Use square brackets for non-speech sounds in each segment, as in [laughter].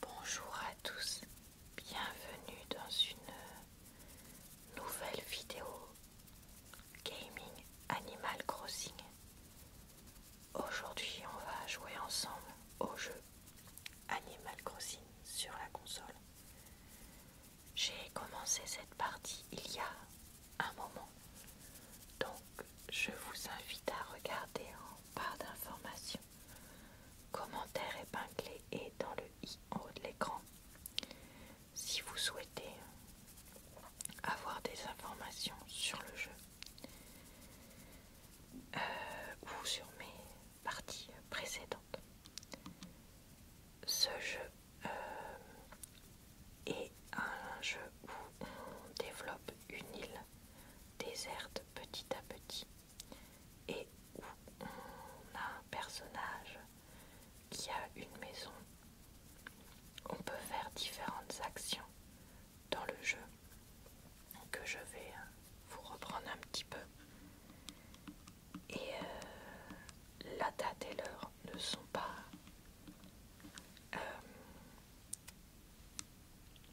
Bonjour à tous, bienvenue dans une euh, nouvelle vidéo Gaming Animal Crossing. Aujourd'hui on va jouer ensemble au jeu Animal Crossing sur la console. J'ai commencé cette partie il y a un moment, donc je vous invite à regarder en part d'information. Commentaire épinglé et dans le i en haut de l'écran. Si vous souhaitez avoir des informations sur le jeu euh, ou sur mes parties précédentes, ce jeu euh, est un jeu où on développe une île déserte petit à petit et où on a un personnage qui a une maison. On peut faire différentes actions dans le jeu que je vais euh, vous reprendre un petit peu. Et euh, la date et l'heure ne sont pas euh,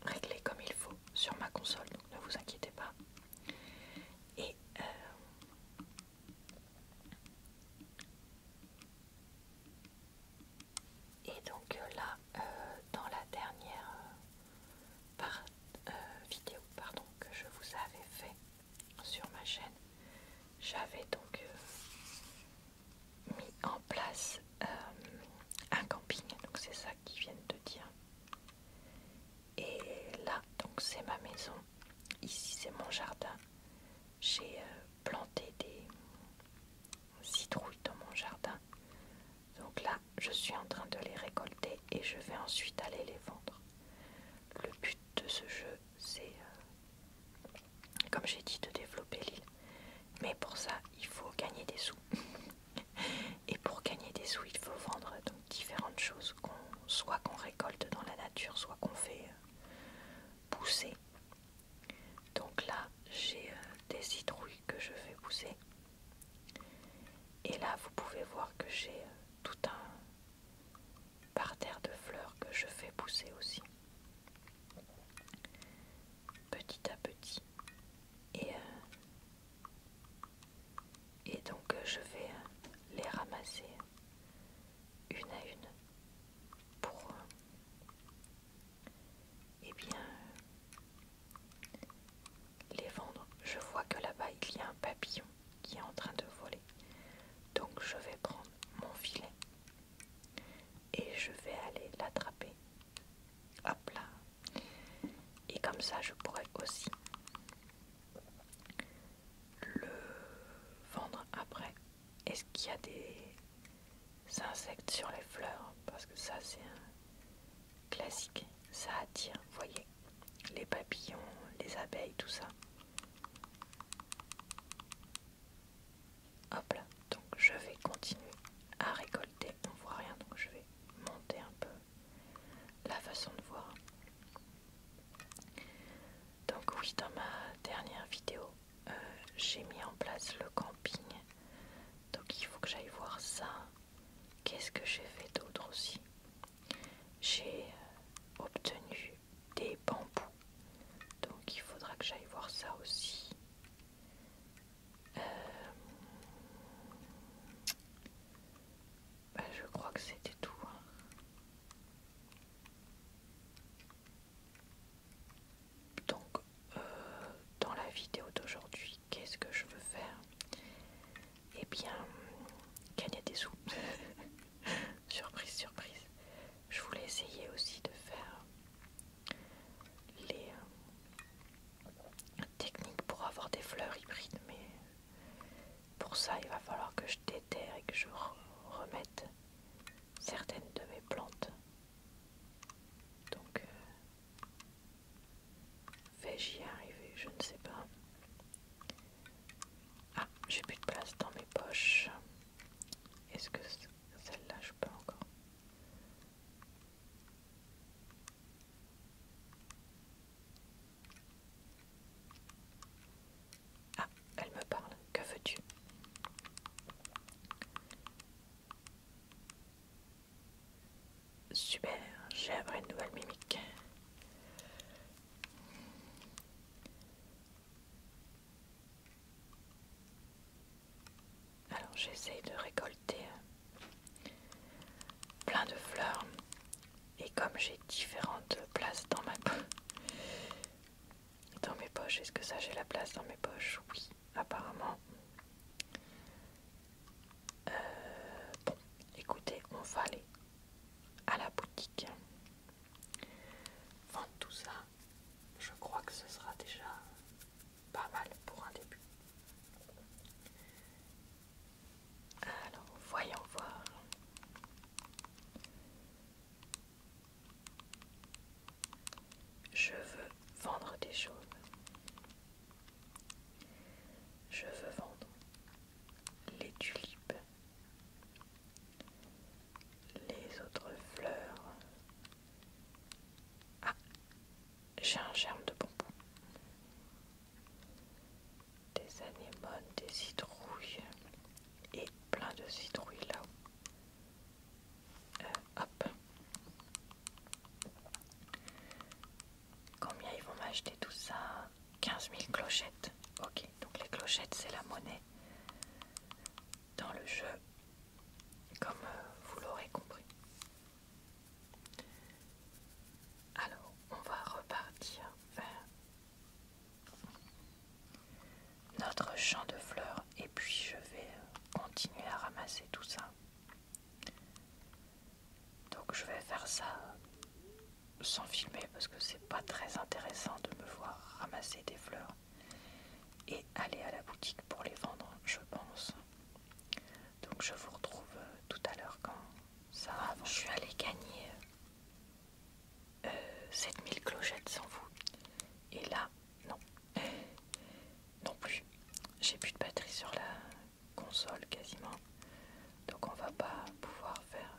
réglé comme il faut sur ma console, donc ne vous inquiétez pas. Et euh, donc euh, là, euh, dans la dernière vidéo pardon, que je vous avais fait sur ma chaîne, j'avais donc mis en place un camping. Donc c'est ça qu'ils viennent de dire. Et là, donc c'est ma maison. Ici, c'est mon jardin. J'ai euh, planté des citrouilles dans mon jardin. Donc là, je suis en train de les récolter et je vais ensuite aller les vendre. Le but de ce jeu, c'est, euh, comme j'ai dit, de développer l'île. Mais pour ça, il faut gagner des sous. [laughs] Et pour gagner des sous, il faut vendre donc différentes choses, soit qu'on récolte dans la nature, soit qu'on fait euh, pousser. Donc là, j'ai euh, des citrouilles que je fais pousser. Et là, vous pouvez voir que j'ai euh, tout un parterre de fleurs que je fais pousser aussi. Petit à petit. Et et donc euh, je vais euh, les ramasser une à une pour euh, eh bien les vendre. Je vois que là-bas il y a un papillon qui est en train de voler. Donc je vais prendre mon filet et je vais aller l'attraper. Hop là, et comme ça, je pourrais aussi le vendre après. Est-ce qu'il y a des insectes sur les fleurs Parce que ça, c'est un classique. Ça attire, vous voyez, les papillons, les abeilles, tout ça. Hop là, donc je vais continuer à récolter. On voit rien, donc je vais monter un peu la façon de voir. Donc oui, dans ma dernière vidéo, euh, j'ai mis en place le camping. Donc il faut que j'aille voir ça. Qu'est-ce que j'ai fait d'autre aussi J'ai euh, obtenu des bambous. Donc il faudra que j'aille voir ça aussi. Euh, je crois que c'était tout. Hein. Donc, euh, dans la vidéo d'aujourd'hui, qu'est-ce que je veux faire Eh bien, gagner des sous. [laughs] surprise, surprise. Je voulais essayer aussi de faire les, euh, technique pour avoir des fleurs hybrides, mais pour ça il va falloir que je déterre et que je remette certaines de mes plantes. Donc, euh, vais-je y arriver Je ne sais pas. Ah, j'ai plus de place dans mes poches. Est-ce que celle-là je peux encore ah, elle me parle. Que veux-tu Super, j'ai appris une nouvelle mimique. Alors j'essaie de récolter plein de fleurs et comme j'ai différentes places dans ma dans mes poches est-ce que ça j'ai la place dans mes poches oui apparemment euh, bon écoutez on va aller à la boutique vendre tout ça je crois que ce sera déjà pas mal pour un début. Alors, voyons voir. Je veux vendre des choses. Je veux vendre les tulipes, les autres fleurs. Ah, j'ai un germe de bonbon des anémones, des citrouilles et plein de citrouilles là. haut euh, hop. Combien ils vont m'acheter tout ça 15 000 clochettes. Ok, donc les clochettes c'est la monnaie dans le jeu, comme euh, vous l'aurez compris. Alors, on va repartir vers notre champ de fleurs et puis je vais euh, continuer à ramasser tout ça. Donc je vais faire ça sans filmer parce que c'est pas très intéressant de me voir ramasser des fleurs et aller à la boutique pour les vendre, je pense. Donc je vous retrouve euh, tout à l'heure quand ça va. Je suis allée gagner 7000 euh, euh, clochettes sans vous. Et là, non. [laughs] Non plus. J'ai plus de batterie sur la console quasiment. Donc on va pas pouvoir faire...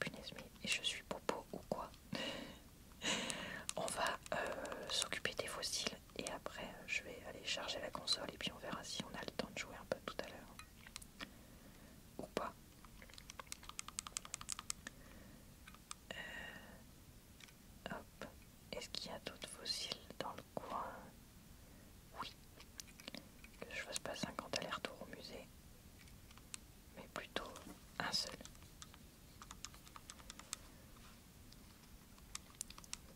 Punaise Et je suis popo ou quoi [laughs] On va s'occuper des fossiles et après euh, je vais aller charger la console et puis on verra si on a le temps de jouer un peu tout à l'heure ou pas. Euh, est-ce qu'il y a d'autres fossiles dans le coin Oui, que je fasse pas 50 allers retour au musée, mais plutôt un seul.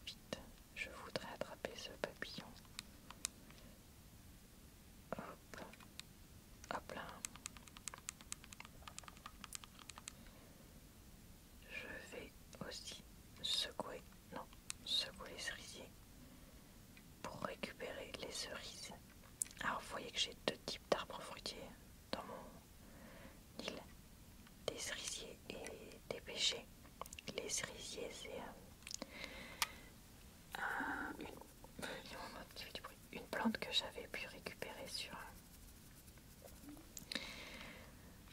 Vite, je voudrais attraper ce papillon. Hop, hop là. Je vais aussi secouer, non, secouer les cerisiers pour récupérer les cerises. Alors, vous voyez que j'ai deux types d'arbres fruitiers dans mon île des cerisiers et des pêchers. Les cerisiers, c'est euh, un, euh, une, plante que j'avais pu récupérer sur, euh,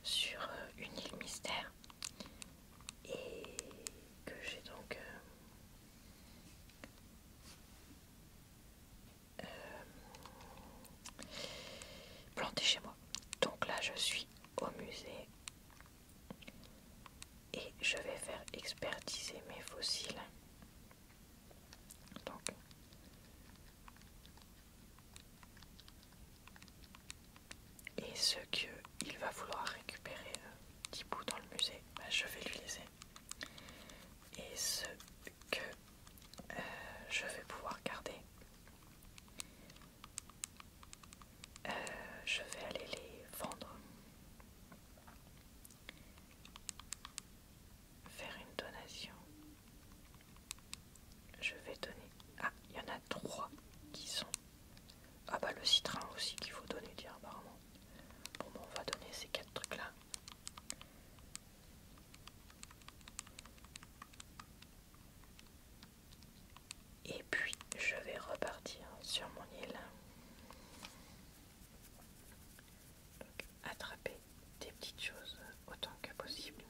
sur une île mystère et que j'ai donc planté chez moi. Donc là, je suis au musée et je vais faire expertiser mes fossiles. Donc, et ce qu'il va vouloir récupérer le euh, petit bout dans le musée, bah, je vais lui laisser. Et ce que euh, je vais pouvoir garder, euh, je vais aller les vendre. Faire une donation. Je vais donner... Ah, il y en a trois qui sont... Ah bah le citron aussi qu'il faut donner, dire apparemment. Bon, bah, on va donner ces quatre trucs-là. Et puis je vais repartir sur mon île. Donc, attraper des petites choses autant que possible.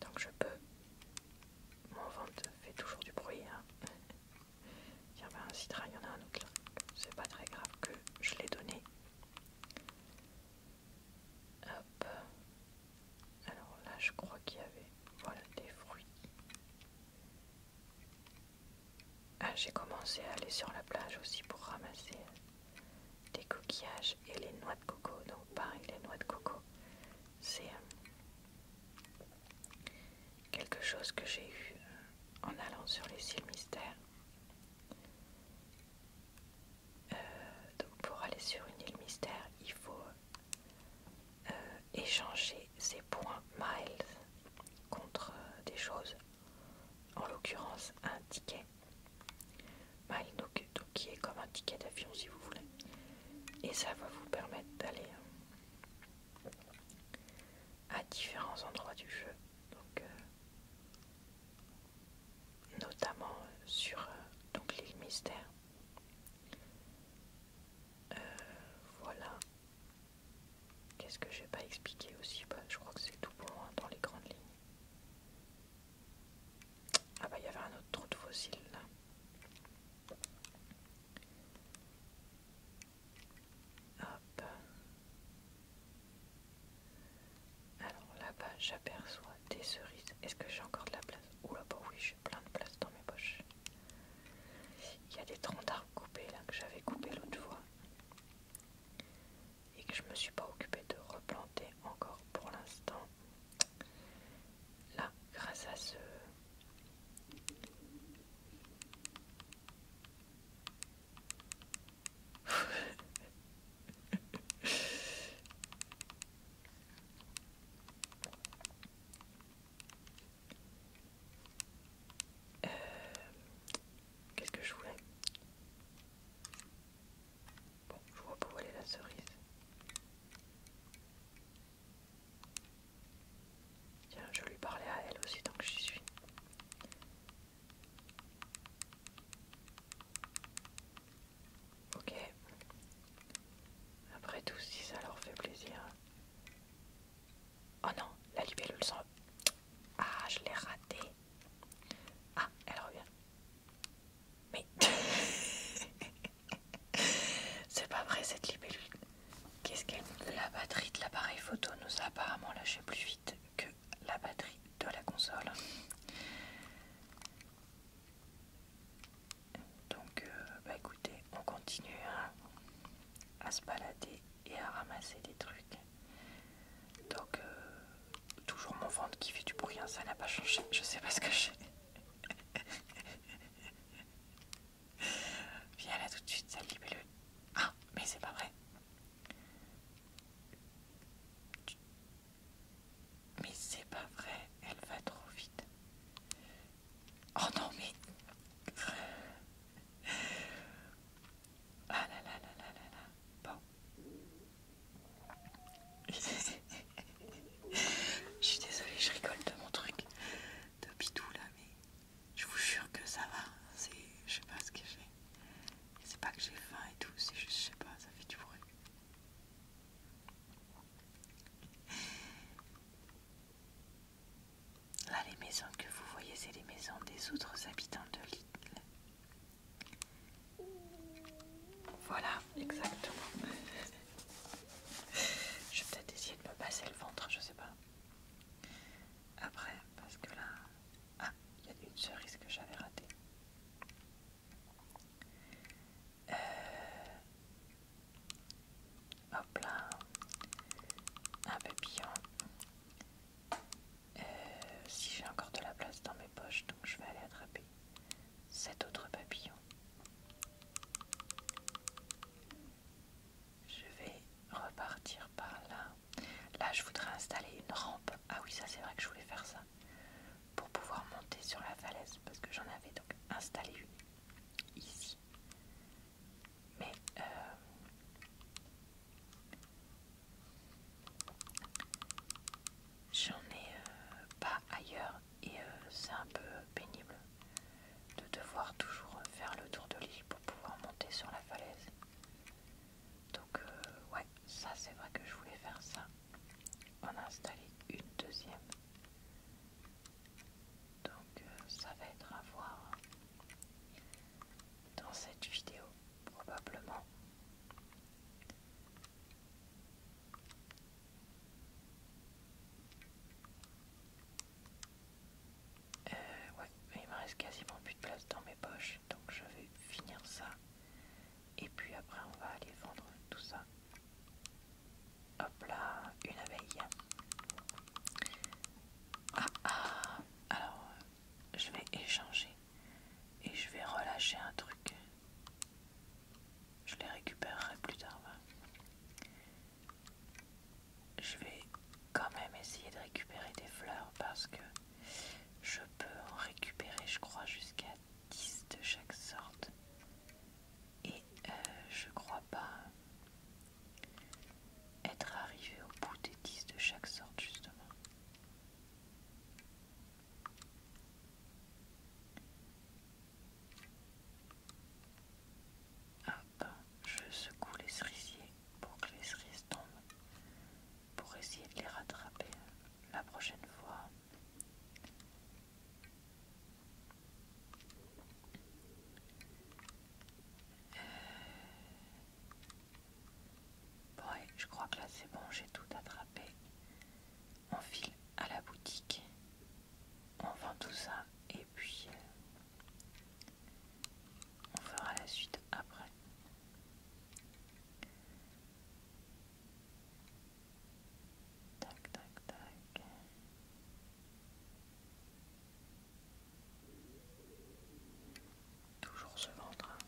Donc je peux. Mon ventre fait toujours du bruit. Hein. Tiens, [laughs] ben, un citron, il y en a un autre là. C'est pas très grave que je l'ai donné. Hop. Alors là, je crois qu'il y avait voilà, des fruits. Ah, j'ai commencé à aller sur la plage aussi pour ramasser des coquillages et les noix de coco. Donc pareil, les noix de coco, c'est euh, quelque chose que j'ai eu euh, en allant sur les îles mystères. Euh, donc pour aller sur une île mystère, il faut euh, échanger ses points miles contre euh, des choses, en l'occurrence un ticket. miles donc, qui est comme un ticket d'avion si vous voulez. Et ça va vous permettre d'aller euh, à différents endroits du jeu. Donc, notamment sur donc l'île mystère euh, voilà. Qu'est-ce que je j'ai pas expliqué aussi bah, Je crois que c'est tout pour moi dans les grandes lignes. Ah bah il y avait un autre trou de fossile là. Hop. Alors là-bas j'aperçois des cerises. Est-ce que j'ai encore de la place Ouh bah là-bas oui plein de place dans mes poches. Il y a des troncs d'arbres coupés là que j'avais coupé l'autre fois et que je me suis pas occupé de replanter encore pour l'instant. Là, grâce à ce [laughs] Euh, qu'est-ce que je voulais Bon, je vois pas où aller la cerise. Tiens, je vais lui parler à elle aussi tant que je suis. Ok. Après tout, si ça leur fait plaisir. Oh non, la libellule s'en... Ah, je l'ai ratée. Ah, elle revient. Mais... [laughs] C'est pas vrai cette libellule. Qu'est-ce qu'elle... La batterie de l'appareil photo nous a apparemment lâché plus vite que la batterie de la console. Donc, euh, bah écoutez, on continue hein, à, se balader et à ramasser des trucs. Donc, euh, toujours mon ventre qui fait du bruit, hein, ça n'a pas changé. Je sais pas ce que j'ai. [laughs] Viens là tout de suite, sale le Ah, mais c'est pas vrai. Mais c'est pas vrai, elle va trop vite. Oh non, mais. Ah là là là là là Bon. [laughs] je suis désolée, je rigole de mon truc de bidou là, mais je vous jure que ça va. C'est, je sais pas ce que j'ai. C'est pas que j'ai faim et tout, c'est juste, je sais pas, ça fait du bruit. Là, les maisons que vous voyez, c'est les maisons des autres habitants de l'île. Voilà, exactement. [laughs] je vais peut-être essayer de me passer le ventre, je sais pas. Après, parce que là... Ah, il y a une cerise que j'avais ratée. Euh, hop là, un papillon. Euh, si j'ai encore de la place dans mes poches, donc je vais aller attraper cet autre papillon. Je vais repartir par là. Là, je voudrais installer une rampe. Ah oui, ça c'est vrai que je voulais faire ça pour pouvoir monter sur la falaise parce que j'en avais donc installé une ici. Mais euh, j'en ai euh, pas ailleurs et euh, c'est un peu pénible de devoir toujours faire le tour de l'île pour pouvoir monter sur la falaise. Donc ouais, ça c'est vrai que je voulais faire ça. On a installé une deuxième. Donc euh, ça va être à voir dans cette vidéo probablement. Euh, il me reste quasiment plus de place dans mes poches, donc je vais finir ça. Et puis après on va aller vendre tout ça. Hop là, une abeille. Ah ah, alors euh, je vais échanger et je vais relâcher un truc. Je les récupérerai plus tard. Hein. Je vais quand même essayer de récupérer des fleurs parce que je peux en récupérer, je crois, jusqu'à 10 de chaque sorte et euh, je crois pas être arrivé au bout des 10 de chaque sorte justement. Hop, ah, ben, je secoue les cerisiers pour que les cerises tombent, pour essayer de les rattraper la prochaine fois. Euh, je crois que là c'est bon, j'ai tout attrapé. On file à la boutique, on vend tout ça et puis euh, on fera la suite après. Tac, tac, tac. Toujours ce ventre. Hein.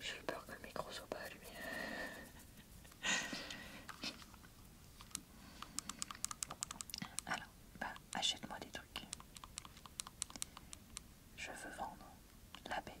J'ai peur que le micro soit pas allumé. [laughs] Alors, bah, achète-moi des trucs. Je veux vendre la baie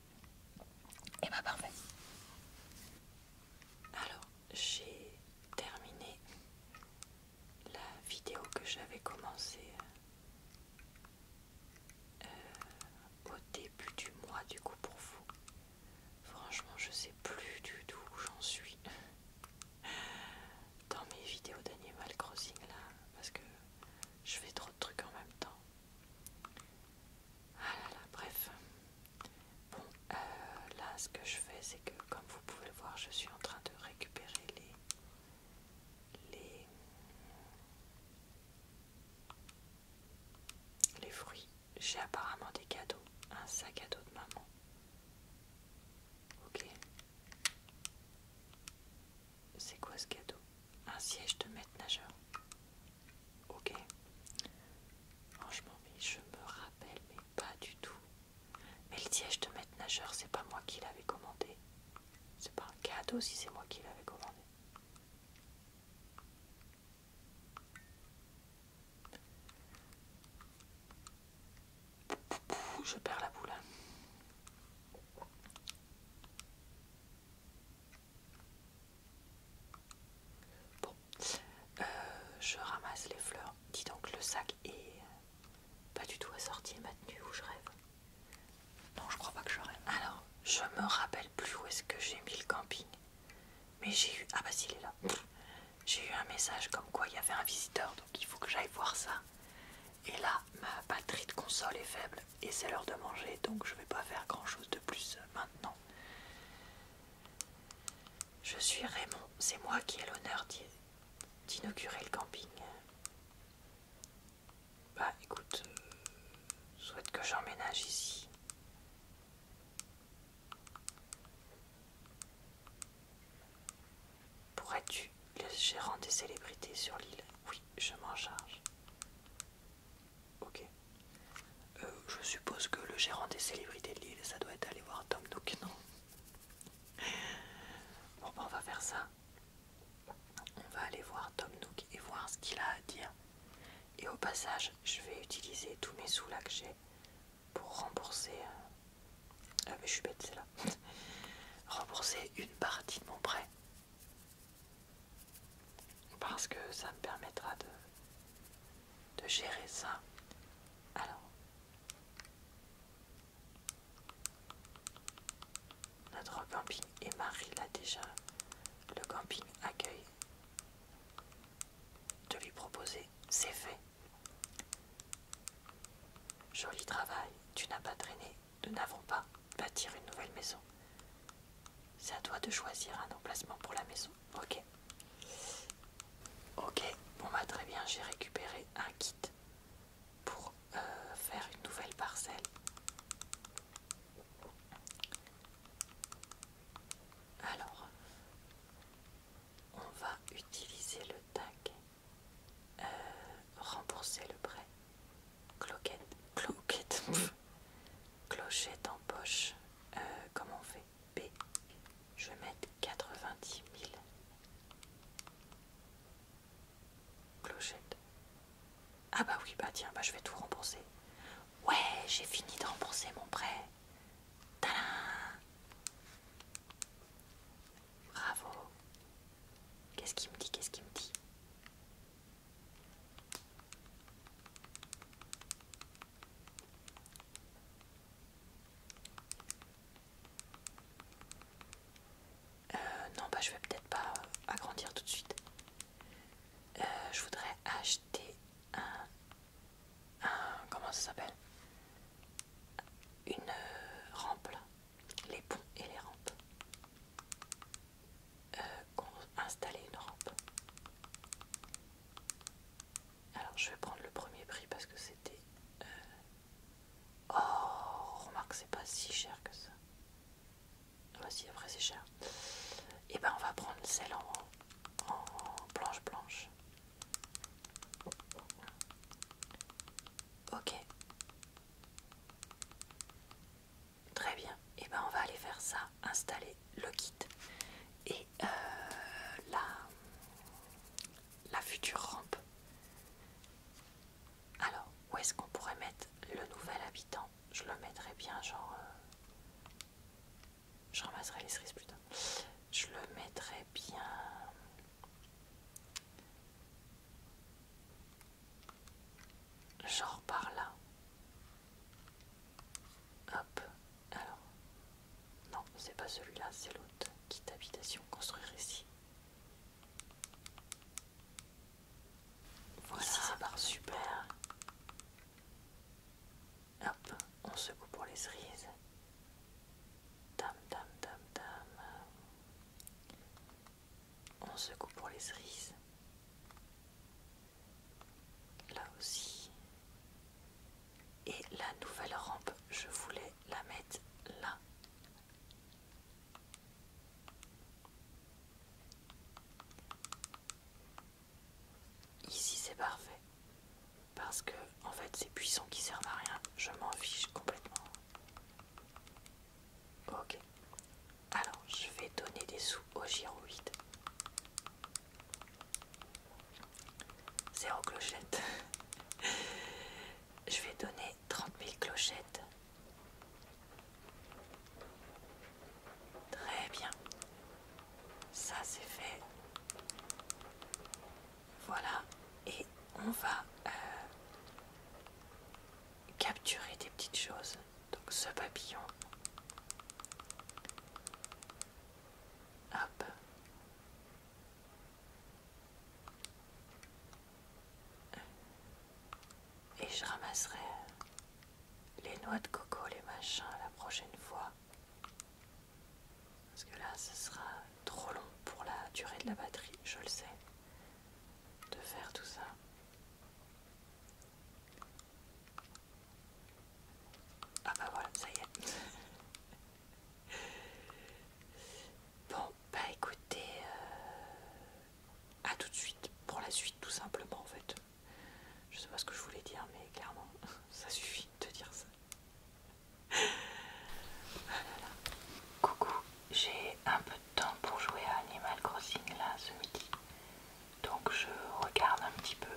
et eh bah ben, parfait. Alors, j'ai terminé la vidéo que j'avais commencé euh, au début du mois du coup pour vous. Franchement, je sais plus du tout où j'en suis [laughs] dans mes vidéos d'Animal Crossing là parce que je fais trop de trucs en même temps ah là là, bref. Bon, euh, là, ce que je fais, c'est que, comme vous pouvez le voir, je suis en train de récupérer les... les... les fruits. J'ai apparemment des cadeaux. Un sac à dos de maman. Ok. C'est quoi ce cadeau Un siège de maître nageur. Ok. Franchement, je me rappelle, mais pas du tout. Mais le siège de maître nageur, c'est pas moi qui l'avais commandé. C'est pas un cadeau si c'est moi qui l'avais commandé. Je perds la boule. Hein. Bon, euh, je ramasse les fleurs. Dis donc, le sac est pas du tout assorti à ma tenue où je rêve. Non, je crois pas que je rêve. Alors, je me rappelle plus où est-ce que j'ai mis le camping. Mais j'ai eu. Ah bah il est là. J'ai eu un message comme quoi il y avait un visiteur, donc il faut que j'aille voir ça. Et là, ma batterie de console est faible et c'est l'heure de manger donc je vais pas faire grand chose de plus maintenant. Je suis Raymond, c'est moi qui ai l'honneur d'inaugurer le camping. Bah écoute, euh, souhaite que j'emménage ici. Pourrais-tu le gérant des célébrités sur l'île Oui, je m'en charge. Ok. Euh, je suppose que le gérant des célébrités de l'île ça doit être aller voir Tom Nook, non Bon, bah, on va faire ça. On va aller voir Tom Nook et voir ce qu'il a à dire. Et au passage, je vais utiliser tous mes sous là que j'ai pour rembourser. Euh, ah, mais je suis bête, c'est là. [laughs] rembourser une partie de mon prêt. Parce que ça me permettra de, gérer ça. Alors, notre camping et Marie l'a déjà. Le camping accueille. de lui proposer, c'est fait. Joli travail, tu n'as pas traîné, nous n'avons pas bâtir une nouvelle maison. C'est à toi de choisir un emplacement pour la maison. Ok. Ok, bon bah très bien, j'ai récupéré un kit pour euh, faire une nouvelle parcelle. Alors, on va utiliser le tag, euh, rembourser le prêt. Cloquette, cloquette, clochette en poche. Euh, comment on fait B. Je vais mettre 90 000. Clochette. Ah bah oui, bah tiens, bah je vais tout rembourser. Ouais, j'ai fini de rembourser mon prêt. Tadam Bravo. Qu'est-ce qu'il me dit Qu'est-ce qu'il me dit euh, non, bah je vais peut-être pas agrandir tout de suite. Euh, je voudrais acheter un, un comment ça s'appelle Une rampe là, les ponts et les rampes. Euh, installer une rampe. Alors je vais prendre le premier prix parce que c'était... Euh, oh, remarque, c'est pas si cher que ça. Voici, ah bah après c'est cher. Et eh ben on va prendre celle en, en planche blanche. Ok. Très bien. Et eh ben on va aller faire ça, installer le kit et euh, la, future rampe. Alors, où est-ce qu'on pourrait mettre le nouvel habitant Je le mettrai bien genre... Euh, je ramasserai les cerises plus tard. Je le mettrai bien genre par là. Hop, alors. Non, c'est pas celui-là, c'est l'autre. Quitte habitation, construire ici. Voilà, ça part super. Hop, on secoue pour les cerises. Dam, dam, dam, dam. On secoue pour les cerises là aussi et la nouvelle rampe je voulais la mettre là ici c'est parfait parce que en fait ces puissant qui servent à rien je m'en fiche complètement ok alors, je vais donner des sous au giroïde. Zéro clochette. [laughs] je vais donner 30 000 clochettes. Très bien. Ça, c'est fait. Voilà. Et on va euh, capturer des petites choses donc ce papillon. Hop. Et je ramasserai les noix de coco, les machins la prochaine fois. Parce que là, ce sera trop long pour la durée de la batterie, je le sais, de faire tout ça. Ah bah voilà, ça y est. bon, bah écoutez, euh, à tout de suite pour la suite tout simplement en fait. Je sais pas ce que je voulais dire, mais clairement, [laughs] ça suffit de dire ça. Coucou, j'ai un peu de temps pour jouer à Animal Crossing là ce midi donc je regarde un petit peu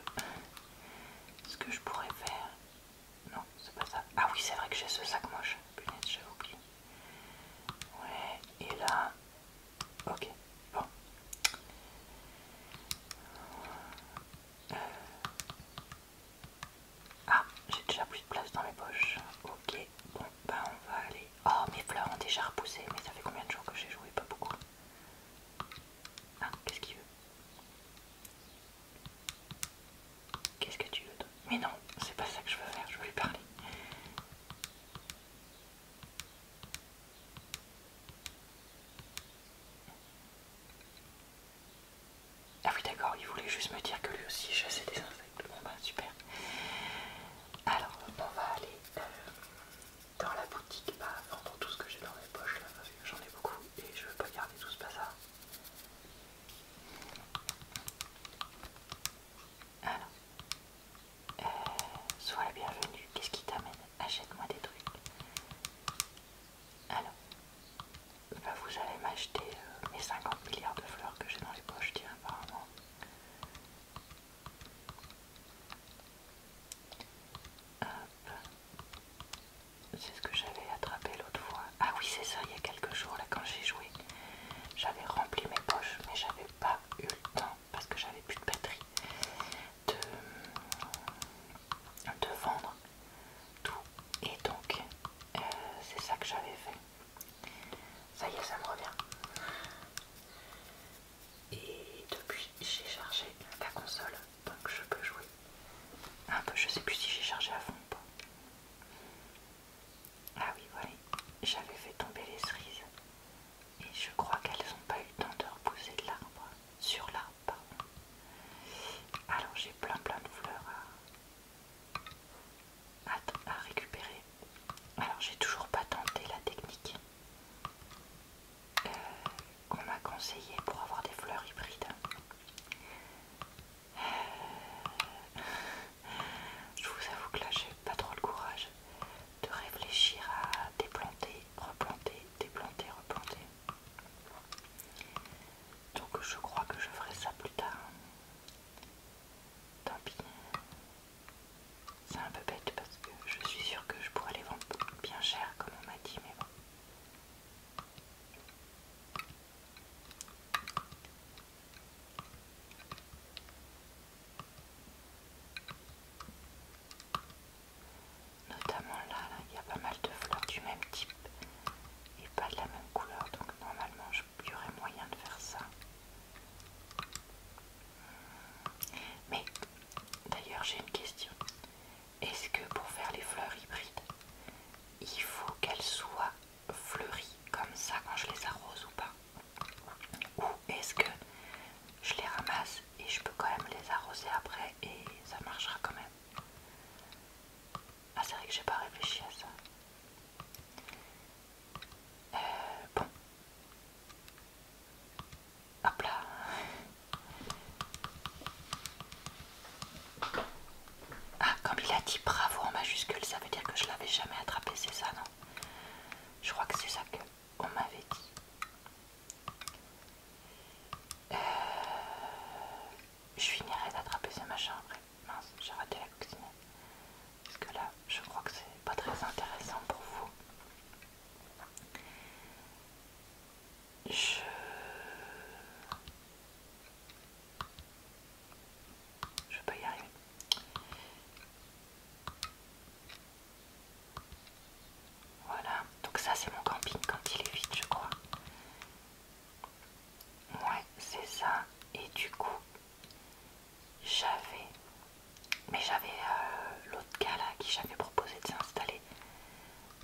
ce que je pourrais faire. Non, c'est pas ça. Ah oui, c'est vrai que j'ai ce sac moche. Putain, j'avoue, oublié. Ouais, et là. Ok, bon. Euh. Ah, j'ai déjà plus de place dans mes poches. Ok, bon, ben on va aller. Oh, mes fleurs ont déjà repoussé, mais ça fait combien de jours que j'ai joué Pas beaucoup. Ah, qu'est-ce qu'il veut Qu'est-ce que tu veux Mais non, c'est pas ça que je veux faire, je veux lui parler. Ah oui d'accord, il voulait juste me dire que lui aussi chassait des insectes. Bon bah super. Alors on va aller euh, dans la boutique, pas bah, vendre tout ce que j'ai dans mes poches là, parce que j'en ai beaucoup et je veux pas garder tout ce bazar. Alors, euh, sois bienvenue, qu'est-ce qui t'amène Achète-moi des trucs. Alors, bah vous allez m'acheter les euh, 50 milliards de fleurs que j'ai dans les poches, tiens, apparemment. C'est ce que j'avais attrapé l'autre fois. Ah oui, c'est ça, il y a quelques jours, là, quand j'ai joué, j'avais rempli mes poches, mais j'avais pas eu le temps, parce que j'avais plus de batterie, de, vendre tout. Et donc, euh, c'est ça que j'avais fait. Ça y est, ça me revient. Et depuis, j'ai chargé la console, donc je peux jouer un peu. Je sais plus si j'ai chargé à fond ou pas. Ah oui, voilà, j'avais fait tomber les cerises et je crois qu'elles n'ont pas eu le temps de repousser de l'arbre, sur l'arbre, Alors j'ai plein plein de fleurs à récupérer. Alors j'ai toujours pas tenté la technique qu'on m'a conseillé pour avoir des fleurs hybrides. Je vous avoue que là j'ai pas trop le courage de réfléchir à déplanter, replanter, déplanter, replanter. Donc je crois que je ferai ça plus tard. Tant pis, c'est un peu bête parce que je suis sûre que je pourrais les vendre bien cher comme on m'a dit, mais bon. Notamment là, il y a pas mal de fleurs du même type et pas de la même couleur, donc normalement je y moyen de faire ça. Mais D'ailleurs, j'ai une question. Est-ce que pour faire les fleurs hybrides, il faut qu'elles soient fleuries comme ça quand je les arrose ou pas Ou est-ce que je les ramasse et je peux quand même les arroser après et ça marchera quand même Ah c'est vrai que j'ai pas réfléchi à ça. Euh, bon, Hop là. Ah, comme il a dit bravo en majuscule, ça veut dire que je l'avais jamais attrapé, c'est ça, non Je crois que c'est ça qu'on m'avait dit. Euh, je finirai d'attraper ce machin après. Mince, j'ai raté la cuisine. Parce que là, je crois que c'est pas très intéressant pour vous. Je... Je pas y arriver. Voilà, donc ça c'est mon camping quand il est vide je crois. Ouais, c'est ça. Et du coup, j'avais mais j'avais euh, l'autre gars là qui j'avais proposé de s'installer.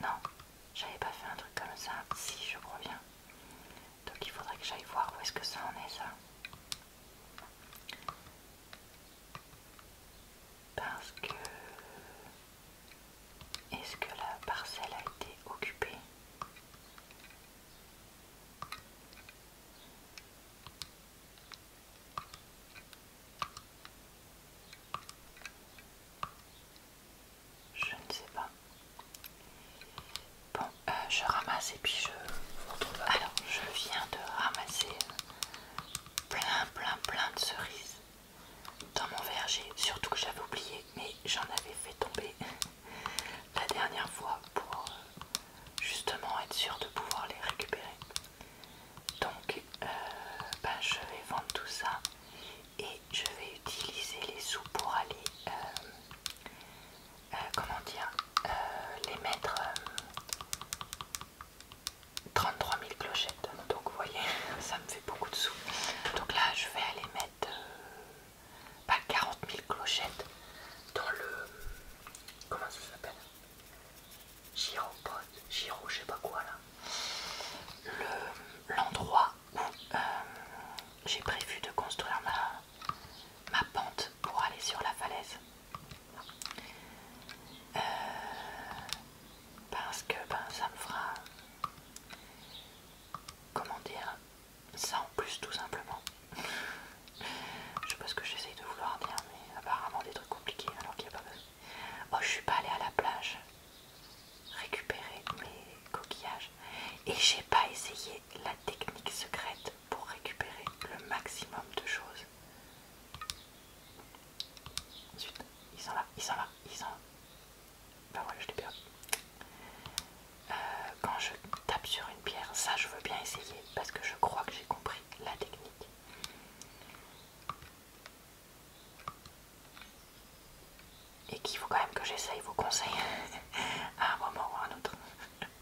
Non, j'avais pas fait un truc comme ça. Si, je reviens, Donc il faudrait que j'aille voir où est-ce que ça en est ça. Parce que... Est-ce que la parcelle a été occupée je ne sais pas. Bon, euh, je ramasse et puis je Alors, je viens de ramasser plein, plein, plein de cerises dans mon verger. Surtout que j'avais oublié, mais j'en avais fait tomber [laughs] la dernière fois pour euh, justement être sûr de pouvoir les récupérer. Donc, euh, ben, je vais vendre tout ça et je vais utiliser les sous pour aller, euh, euh, comment dire, les mettre 33 000 clochettes. Donc, vous voyez, [laughs] ça me fait beaucoup de sous. Donc là, je vais aller mettre pas 40 000 clochettes dans le... Comment ça s'appelle Giro, je sais pas quoi là. L'endroit où euh, j'ai prévu de construire ma, ma pente pour aller sur la falaise. Euh, parce que ben, ça me fera... Comment dire Ça en plus tout simplement. [laughs] je sais pas ce que j'essaye de vouloir dire, mais apparemment des trucs compliqués alors qu'il n'y a pas besoin. Oh, je suis pas allée à la plage récupérer mes coquillages et j'ai pas essayé la technique secrète pour récupérer le maximum de choses. Ensuite, ils sont là, ils sont là, ils sont là. Ben voilà, je l'ai euh, quand je tape sur une pierre, ça je veux bien essayer parce que je crois que j'ai compris la technique et qu'il faut quand même que j'essaye vos conseils [laughs] à un moment ou à un autre.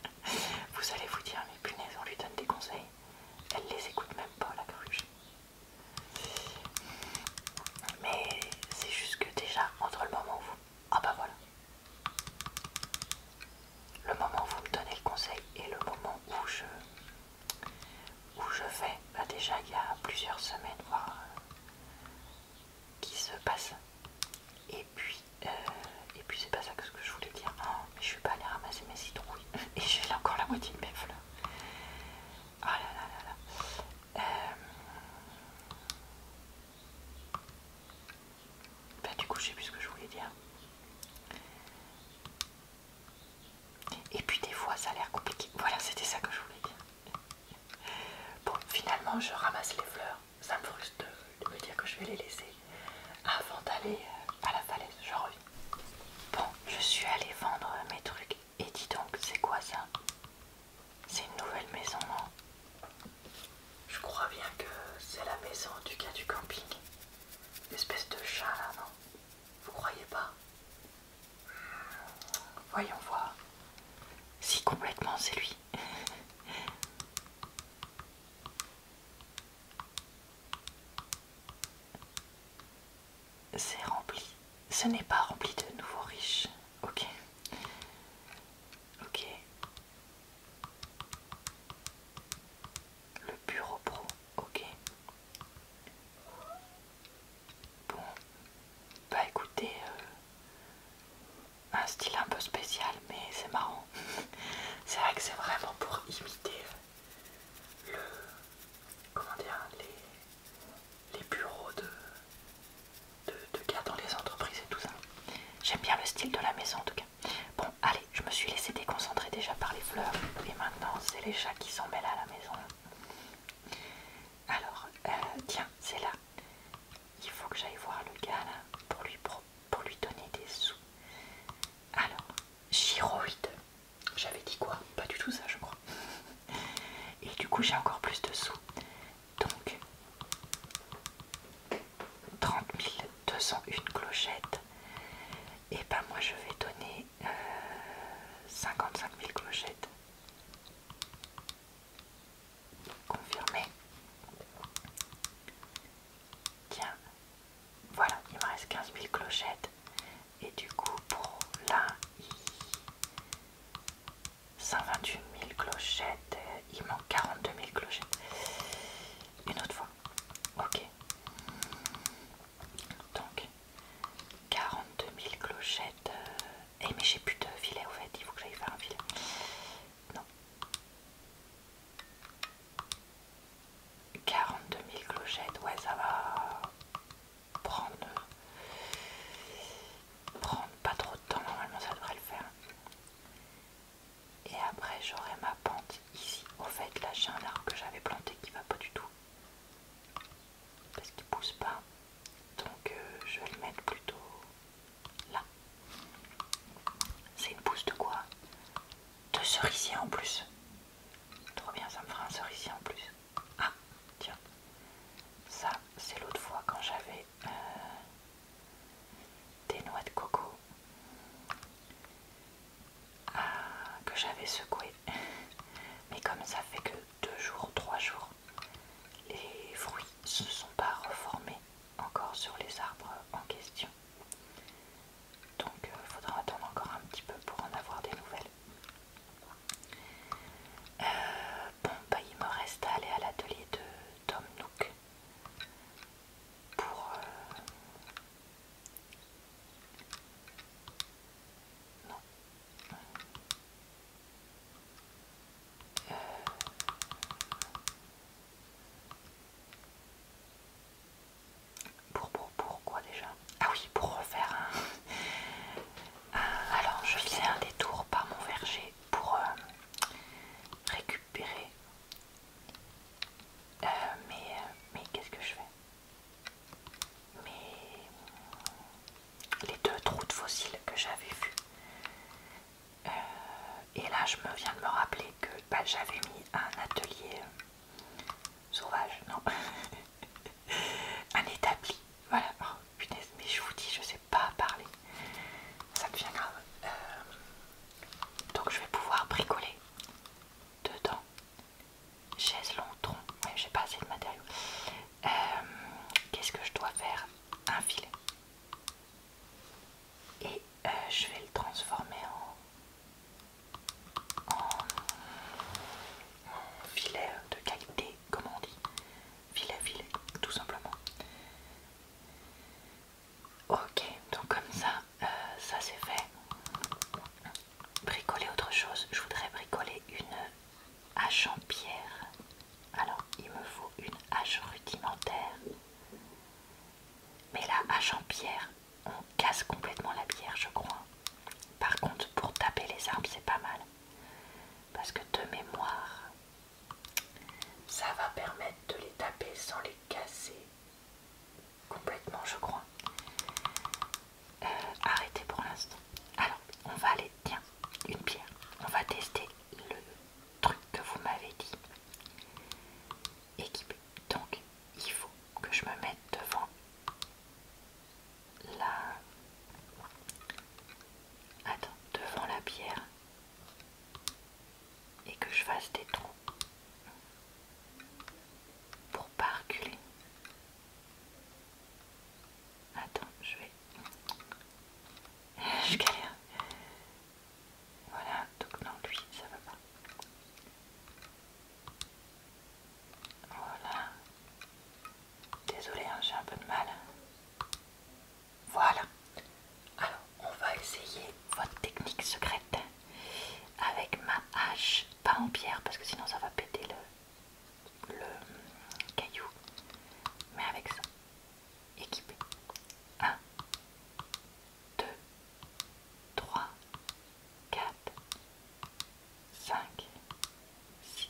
[laughs] vous allez vous dire, mais punaise, on lui donne des conseils, elle les écoute même pas, la cruche. Mais c'est juste que déjà, entre le moment où vous. Ah bah voilà! Le moment où vous me donnez le conseil et le moment où je où je vais bah, déjà il y a plusieurs semaines, voir euh, qui se passe. Et puis, euh, et puis c'est pas ça que ce que je voulais dire. Ah, je suis pas aller ramasser mes citrouilles [laughs] et j'ai encore la moitié de mes fleurs. Ah là là là euh, bah, du coup, je sais plus ce que je voulais dire. Et puis des fois ça a l'air compliqué. Voilà, c'était ça que je voulais dire. Bon, finalement je ramasse les fleurs. Ça me frustre de me dire que je vais les laisser avant d'aller euh, à la falaise. Je reviens. Bon, je suis allée vendre mes trucs. Et dis donc, c'est quoi ça C'est une nouvelle maison, non Je crois bien que c'est la maison du gars du camping. L'espèce Espèce de chat là, non vous croyez pas Voyons voir. Si complètement c'est lui. c'est rempli. Ce n'est pas rempli de nouveaux riches. Ok. Ok le bureau pro, ok. Bon, bah écoutez, euh, un style un peu spécial, mais c'est marrant. [laughs] c'est vrai que c'est vraiment pour imiter le, comment dire, les, bureaux de, de, gars dans les entreprises et tout ça. J'aime bien le style de la maison en tout cas. Bon, allez je me suis laissé déconcentrer déjà par les fleurs et maintenant c'est les chats qui s'embellent à la maison. Alors, euh, tiens, c'est là. Il faut que j'aille voir le gars là pour lui, pour lui donner des sous. Alors, chiroïde. J'avais dit quoi Pas du tout ça, je crois. Et du coup, j'ai encore plus de sous. Donc, 30 201 clochettes. Et ben moi, je vais donner 55 000 clochettes. Confirmé. Tiens, voilà, il me reste 15 000 clochettes. Et du coup, pour là, 128 000 clochettes. Il manque 42 000 clochettes. Une autre fois. Ok. Donc 42 000 clochettes. Euh, eh mais j'ai plus de filet au fait, il faut que j'aille faire un filet. Non. 42 000 clochettes, ouais ça va prendre, prendre pas trop de temps, normalement ça devrait le faire. Et après j'aurai ma pente ici. Au fait là j'ai un arbre que j'avais planté qui va pas du tout parce qu'il pousse pas donc euh, je vais le mettre plutôt là c'est une pousse de quoi de cerisier en plus trop bien ça me fera un cerisier en plus ah tiens ça c'est l'autre fois quand j'avais euh, des noix de coco ah, que j'avais secoué. Mais comme ça fait que deux jours, trois jours, les fruits se sont pas reformés encore sur les arbres en question. Donc il euh, faudra attendre encore un petit peu pour en avoir des nouvelles. Euh, bon, bah, il me reste à aller à l'atelier de Tom Nook pour, euh, pour, pour, quoi déjà Ah oui, pour refaire un... Alors, je fais un détour par mon verger pour euh, récupérer... Euh, mais euh, mais qu'est-ce que je fais mais les deux trous de fossiles que j'avais vus. Euh, et là, je me viens de me rappeler que bah, j'avais mis un atelier euh, sauvage, non, [laughs] un établi. Voilà, oh, punaise, mais je vous dis, je sais pas parler, ça devient grave. Euh, donc, je vais pouvoir bricoler dedans chaise long tronc. mais j'ai pas assez de matériaux. Euh, qu'est-ce que je dois faire Un filet. Et euh, je vais le transformer en, filet euh, de qualité, comme on dit Filet, filet, tout simplement. Ok, donc comme ça, ça c'est fait bricoler autre chose. Je voudrais bricoler une hache en pierre. Alors, il me faut une hache rudimentaire. Mais la hache en pierre, on casse complètement la pierre, je crois. Par contre, pour taper les arbres, c'est pas mal. Parce que de mémoire, ça va permettre de les taper sans les casser complètement je crois. Euh, arrêtez pour l'instant. Alors, on va aller, tiens, une pierre. On va tester le truc que vous m'avez dit. Équipé. Donc, il faut que je me mette devant la... Attends, devant la pierre. Et que je fasse des trous pour pas reculer. Attends, je vais. [laughs] Je galère. Voilà, donc non, lui, ça va pas. Voilà. Désolé, hein, j'ai un peu de mal. Voilà. Alors, on va essayer votre technique secrète avec ma hache pas en pierre parce que sinon ça va péter le, le caillou, mais avec ça, équipé. 1, 2, 3, 4, 5, 6.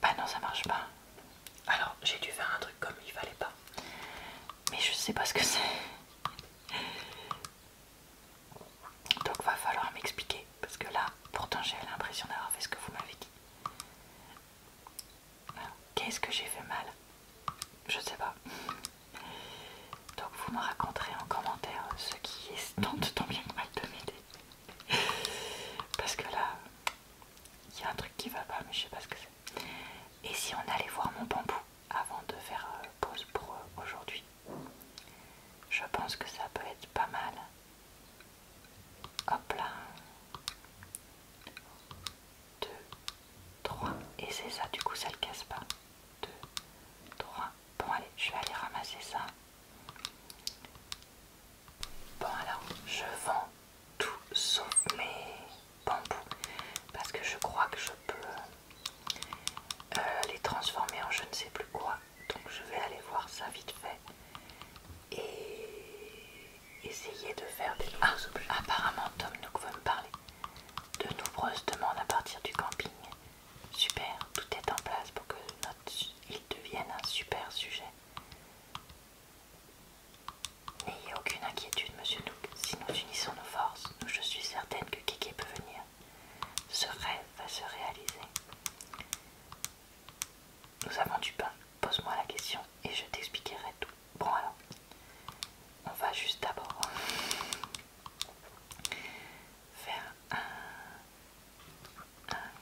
Bah non, ça marche pas. Alors j'ai dû faire un truc comme il fallait pas mais je sais pas ce que c'est. Donc va falloir m'expliquer parce que là, pourtant j'ai l'impression d'avoir fait ce que vous m'avez dit. Qu'est-ce que j'ai fait mal Je sais pas. Donc vous me raconterez en commentaire ce qui est tant tant bien que mal de m'aider. Parce que là, il y a un truc qui va pas, mais je sais pas ce que c'est. Et si on allait voir mon bambou avant de faire euh, pause pour euh, aujourd'hui. Je pense que ça peut être pas mal. Hop là. 2, 3. Et c'est ça, du coup ça le casse pas. 2, 3. Bon allez, je vais aller ramasser ça. Bon alors, je vends tout sauf mes parce que je crois que je peux euh, les transformer en je ne sais plus quoi. Donc je vais aller voir ça vite fait et essayer de faire des mars ah, Apparemment Tom Nook veut me parler. De nombreuses demandes à partir du camping. Super, tout est en place pour que notre île devienne un super sujet. N'ayez aucune inquiétude, monsieur Nook. Si nous unissons nos forces, je suis certaine que Kiki peut venir. Ce rêve va se réaliser. Nous avons du pain. Pose-moi la question et je t'expliquerai tout. Bon alors, on va juste d'abord euh, faire un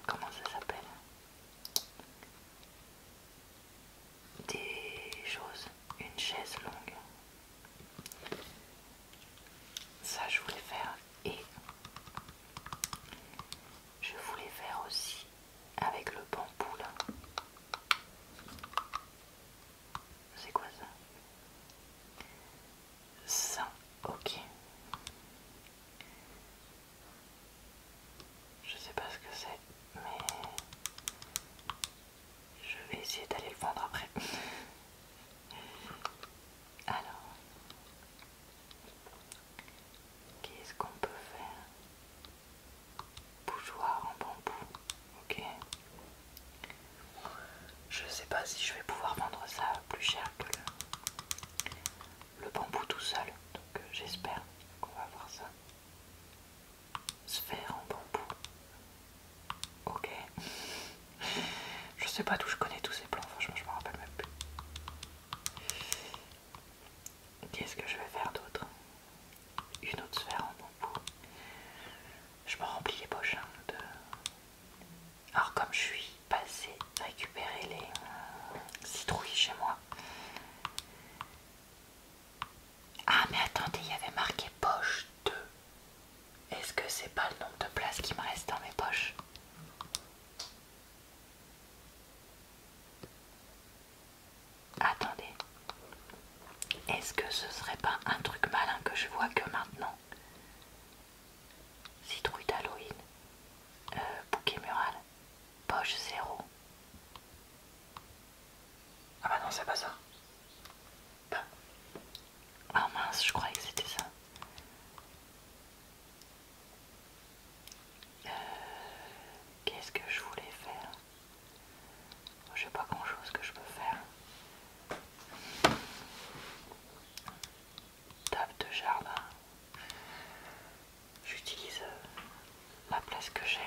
comment ça s'appelle Des choses, une chaise longue. Ça, je voulais faire et je voulais faire aussi avec le bambou là. C'est quoi ça Ça, ok. Je sais pas ce que c'est, mais je vais essayer d'aller le vendre après. Alors, qu'est-ce qu'on peut faire Bougeoir en bambou, ok. Je sais pas si je vais pouvoir vendre ça plus cher que le, bambou tout seul, donc euh, j'espère qu'on va voir ça sphère en bambou. Ok. je sais pas d'où je connais tous ces plans, franchement je me rappelle même plus. Qu'est-ce que je vais faire d'autre Une autre sphère en bambou. Je me remplis les poches hein, de... Alors comme je suis passée récupérer les euh, citrouilles chez moi, ah mais attendez, il y avait marqué poche 2. Est-ce que c'est pas le nombre de places qui me reste dans mes poches Attendez. Est-ce que ce serait pas un truc malin que je vois que maintenant Citrouille d'Halloween. Euh, bouquet mural. Poche 0. Ah bah non, c'est pas ça. Bah. Ah mince, je croyais que c'était ça. Euh, qu'est-ce que je voulais faire Je sais pas grand chose que je peux faire. Table de jardin. J'utilise euh, la place que j'ai.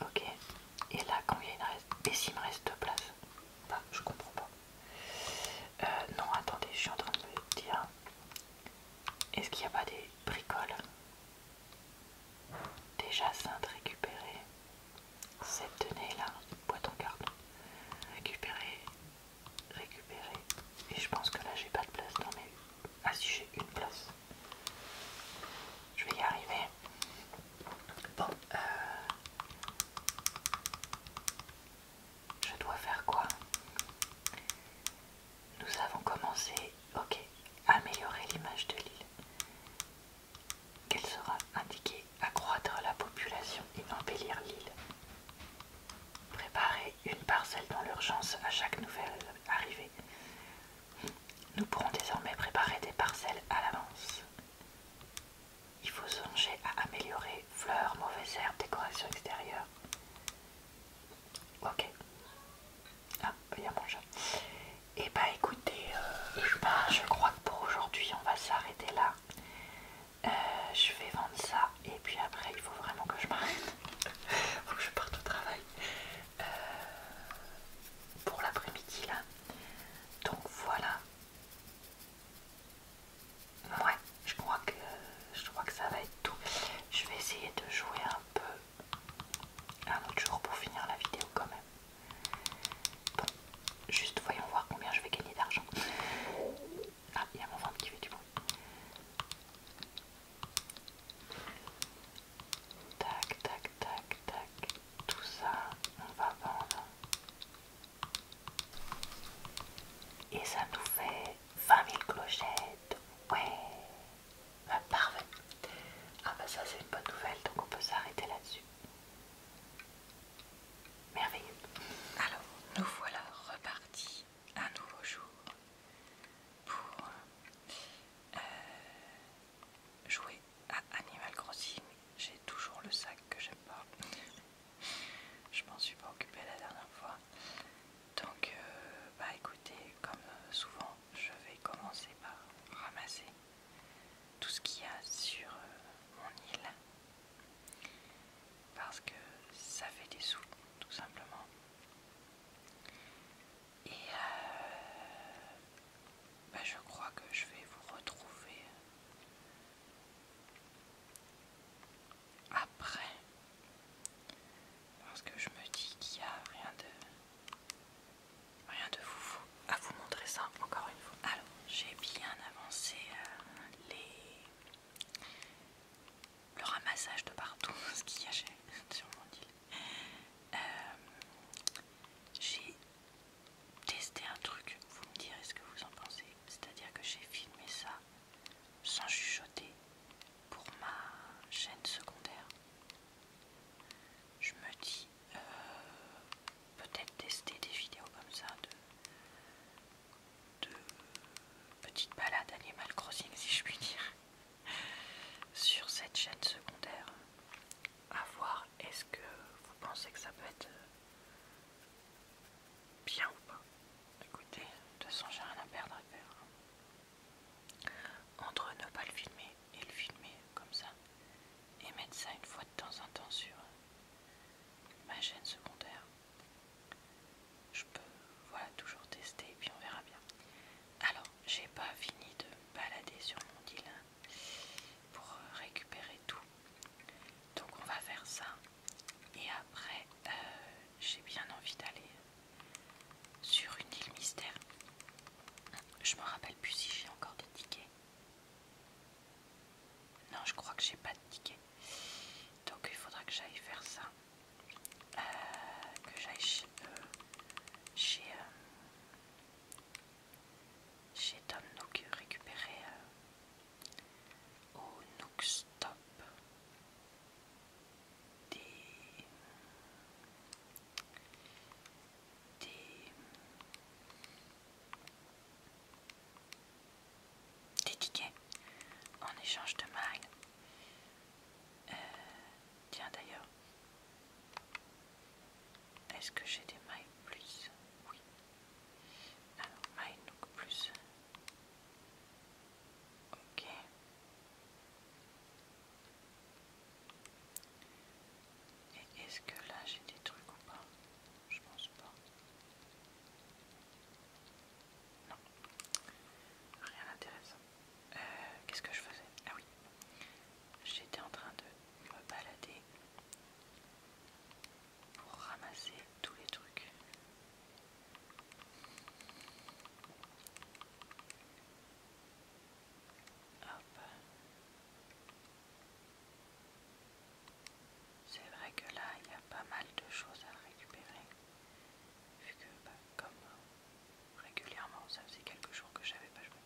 Ok. Et là, combien il me reste. Et s'il me reste deux place bah, je comprends pas. Euh, non, attendez, je suis en train de me dire. Est-ce qu'il n'y a pas des bricoles Déjà sainte récupérer Cette tenue là, boîte en carton. Récupérer, récupérer. Et je pense que là j'ai pas de place dans mes. Ah si j'ai une place. Je vais y arriver. Bon, euh, je dois faire quoi Nous avons commencé, ok, améliorer l'image de l'île. Qu'elle sera indiquée accroître la population et embellir l'île. Préparer une parcelle dans l'urgence à chaque nouvelle arrivée. Nous pourrons désormais préparer des parcelles à l'avance. Il faut songer à améliorer fleurs, mauvaises herbes, décoration extérieure. Ok. Ah, il y a mon chat. Et bah écoutez, euh, je crois que pour aujourd'hui on va s'arrêter là. Euh, je vais vendre ça et puis après il faut vraiment que je m'arrête. [laughs] faut que je parte au travail. Euh, pour l'après-midi là. Donc voilà. Ouais, je crois que je crois que ça va être tout. Je vais essayer de jouer un peu un autre jour pour finir la vidéo quand même. Bon, juste voyons voir combien je vais gagner d'argent. Ah, il y a mon ventre qui fait du bruit. Tac, tac, tac, tac. Tout ça, on va vendre. Et ça nous fait 20 000 clochettes. Ouais, parfait. Ah bah ça c'est une bonne nouvelle, donc on peut s'arrêter là-dessus. Merveilleux. Alors, nous voilà repartis un nouveau jour pour euh, jouer à Animal Crossing. J'ai toujours le sac que j'aime pas. Je m'en suis pas occupée la dernière fois. Donc, euh, bah écoutez, comme souvent, je vais commencer par ramasser tout ce qu'il y a sur euh, mon île. Parce que ça fait des sous, tout simplement. Et euh, bah, je crois que je vais vous retrouver après. Parce que je me dis qu'il n'y a rien de rien de vous à vous montrer ça encore une fois. Alors j'ai bien avancé euh, les le ramassage de partout [laughs] ce qu'il y a sur mon euh, j'ai testé un truc, vous me direz ce que vous en pensez. C'est-à-dire que j'ai filmé ça sans chuchoter pour ma chaîne secondaire. Je me dis euh, peut-être tester des vidéos comme ça de, de petites balades animal crossing si je puis dire sur cette chaîne secondaire. À voir, est-ce que vous pensez que ça peut être euh, bien ou pas Écoutez, de toute façon, j'ai rien à perdre à hein. Entre ne pas le filmer et le filmer comme ça, et mettre ça une fois de temps en temps sur euh, ma chaîne secondaire, je peux voilà toujours tester et puis on verra bien. Alors, j'ai pas fini de me balader sur mon île hein, pour euh, récupérer tout. Donc on va faire ça. Et après, euh, j'ai bien envie d'aller sur une île mystère. Je me rappelle plus si j'ai encore des tickets. Non, je crois que j'ai pas de tickets. Donc il faudra que j'aille faire ça. Euh, que j'aille chez, euh, euh, chez, Tom Nook récupérer au Nook Stop des, tickets en échange de mine. tiens d'ailleurs, est-ce que j'ai des mailles plus Oui. Alors, mailles donc plus. Ok. Et est-ce que là j'ai des trucs ou pas Je pense pas. Non. Rien d'intéressant. Euh, qu'est-ce que je faisais Ah oui, j'étais en train de me balader pour ramasser tous les trucs. C'est vrai que là, il y a pas mal de choses à récupérer, que bah, régulièrement. Ça faisait quelques jours que j'avais pas joué.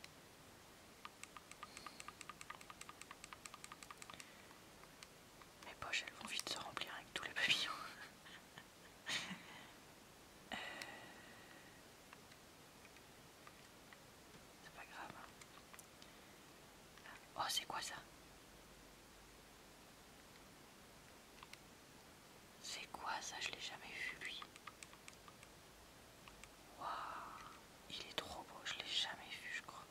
Mes poches elles vont vite se remplir avec tous les papillons. [laughs] Euh, c'est pas grave. Hein. Ah, oh c'est quoi ça c'est quoi ça Je l'ai jamais vu lui. Waouh, il est trop beau, je l'ai jamais vu je crois.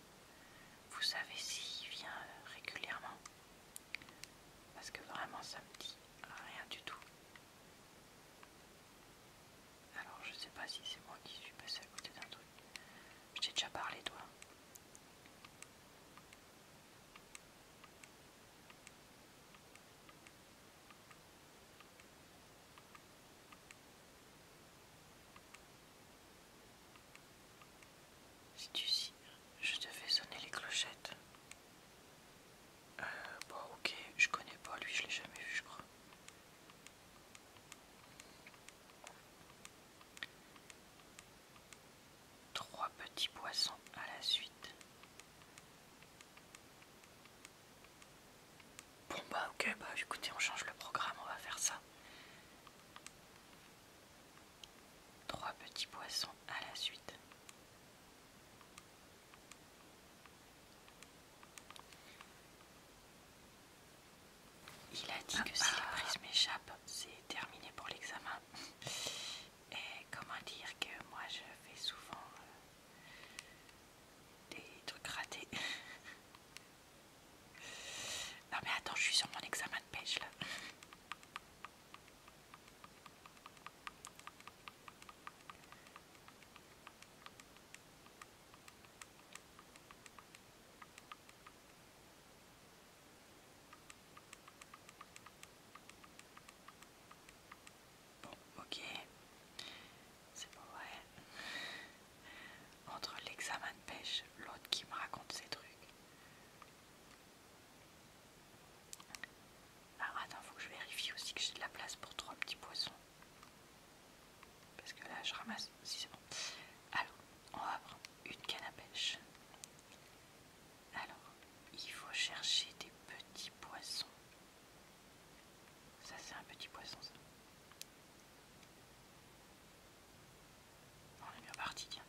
Vous savez s'il vient euh, régulièrement Parce que vraiment ça me dit rien du tout. Alors je sais pas si c'est moi qui suis passée à côté d'un truc. Je t'ai déjà parlé toi. Si tu si, je devais sonner les clochettes. Euh, bon, ok, je connais pas lui, je l'ai jamais vu, je crois. Trois petits poissons à la suite. Bon bah ok, bah écoutez, on change le programme, on va faire ça. Trois petits poissons à la suite. Il a dit que si ah, la ah. prise m'échappe, c'est terminé pour l'examen. Et comment dire que moi je fais souvent euh, des trucs ratés. non mais attends, je suis sur mon examen de pêche là. Bon, ok. C'est pas vrai. Entre l'examen de pêche, l'autre qui me raconte ses trucs. Alors attends, faut que je vérifie aussi que j'ai de la place pour trois petits poissons. Parce que là, je ramasse. Si c'est bon. Alors, on va prendre une canne à pêche. Alors, il faut chercher des petits poissons. Ça c'est un petit poisson ça. On est bien parti, tiens.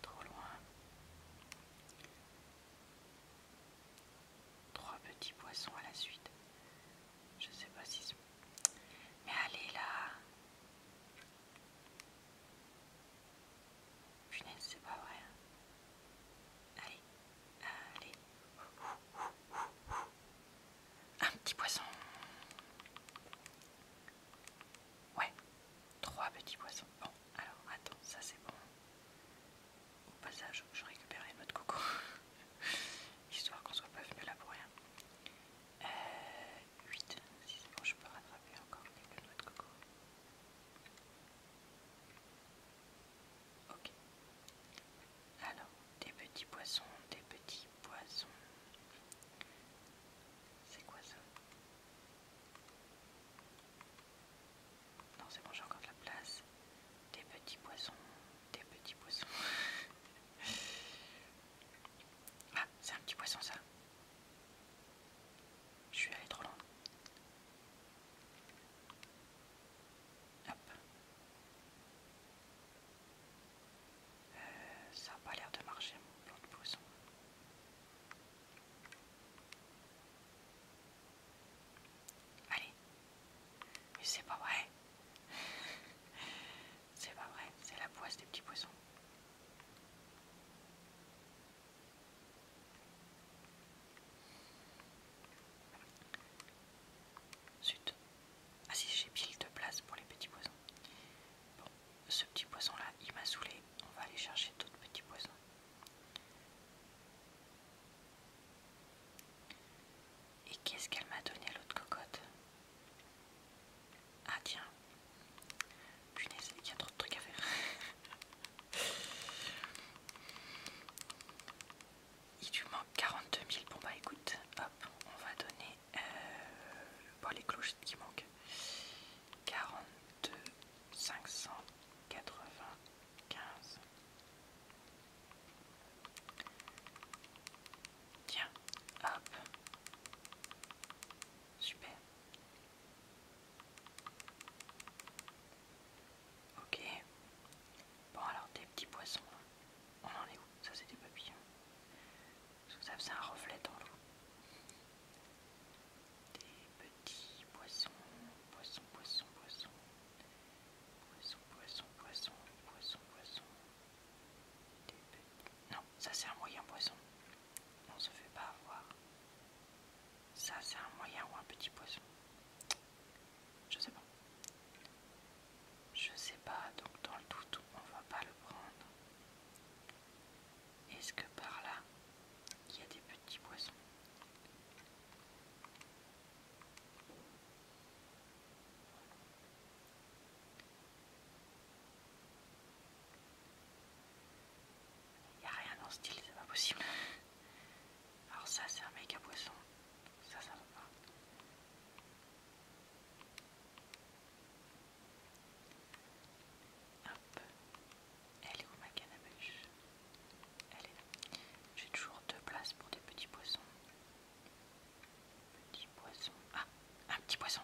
Trop loin. Trois petits poissons à la suite. Je sais pas si... Mais allez là Punaise, c'est pas vrai. Allez, allez. Un petit poisson. Ouais, trois petits poissons. Bon, alors attends, ça c'est bon. Au passage, je récupère mots de coco. [laughs] Histoire qu'on soit pas venu là pour rien. Euh, 8, si c'est bon, je peux rattraper encore quelques noix de coco. Ok. Alors, des petits poissons, des petits poissons. C'est quoi ça Non, c'est bon, j'ai encore de la place. Des petits poissons, des petits poissons. [laughs] Ah, c'est un petit poisson ça. Je suis allé trop loin. Hop. Euh, ça n'a pas l'air de marcher mon plan de poisson. Allez. Mais c'est pas vrai. C'est pas vrai, c'est la poisse des petits poissons. Zut. Ah si, j'ai pile de place pour les petits poissons. Bon, ce petit poisson-là, il m'a saoulé. On va aller chercher d'autres petits poissons. Et qu'est-ce qu'elle m'a donné à l'autre cocotte ah tiens. Punaise, il y a trop de trucs à faire. [laughs] Il lui manque 42 000. Bon bah écoute, hop, on va donner euh, bon, les cloches qui manquent. 42 595. Tiens, hop. Super. Ok. Bon alors des petits poissons. On en est où Ça c'est des papillons. Parce que ça faisait un reflet dans l'eau. Des petits poissons. Poissons, poissons, poissons. Poissons, poissons, poissons, poissons, poissons. Non, ça c'est un moyen poisson. On se fait pas avoir. Ça c'est un moyen ou un petit poisson. Je sais pas. Je sais pas, donc dans le doute, on va pas le prendre. Est-ce que par là, il y a des petits poissons y a rien dans ce style, c'est pas possible. Alors ça c'est un méga poisson. Ça ça va pas. Hop. Elle est où ma canne à Elle est là. J'ai toujours deux places pour des petits poissons. Petit poisson. Ah, un petit poisson.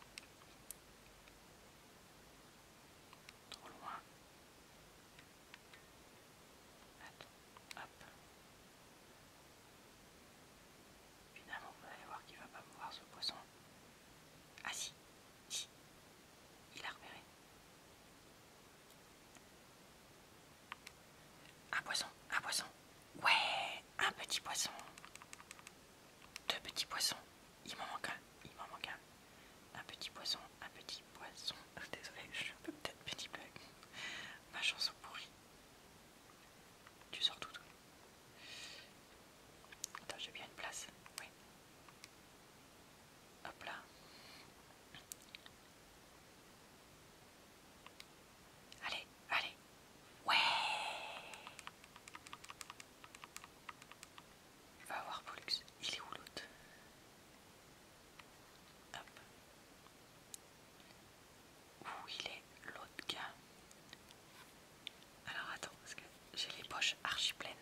Trop loin. Attends, hop. Finalement, vous allez voir qu'il va pas me voir ce poisson. Ah si, si, il a repéré. Un poisson, un poisson. Ouais, un petit poisson deux petits poissons. Il m'en manque un, il m'en manque un. Un petit poisson, un petit poisson. Ah, désolée, je suis peut-être petit peu. Ma chanson pourrie. Tu sors tout. tout. Attends, j'ai bien une place. Oui. Hop là. Allez, allez, Ouais Va voir Pollux, il est où l'autre Hop. Où il est l'autre gars Alors attends, parce que j'ai les poches archi pleines.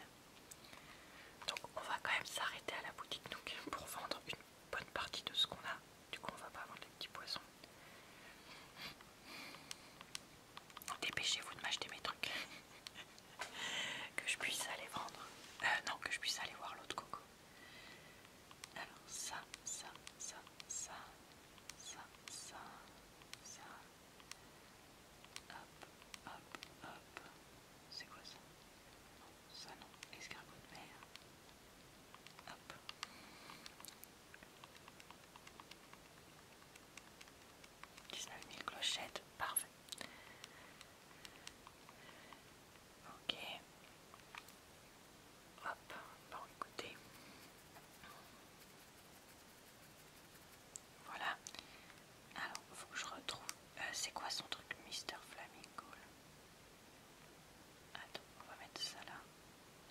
Donc on va quand même s'arrêter à la boutique donc, pour vendre une bonne partie de ce qu'on a. Du coup on va pas vendre les petits poissons dépêchez-vous de m'acheter mes trucs. [laughs] que je puisse aller vendre. Euh, non, que je puisse aller voir l'autre coco. Alors, ça, ça, ça, ça, ça, ça, ça. Hop, hop, hop. C'est quoi ça Non, ça non. Escargot de mer. Hop. 19 000 clochettes, parfait. Ok. Hop, bon écoutez. Voilà. Alors, il faut que je retrouve. Euh, c'est quoi son truc, Mister Flamingo Attends, on va mettre ça là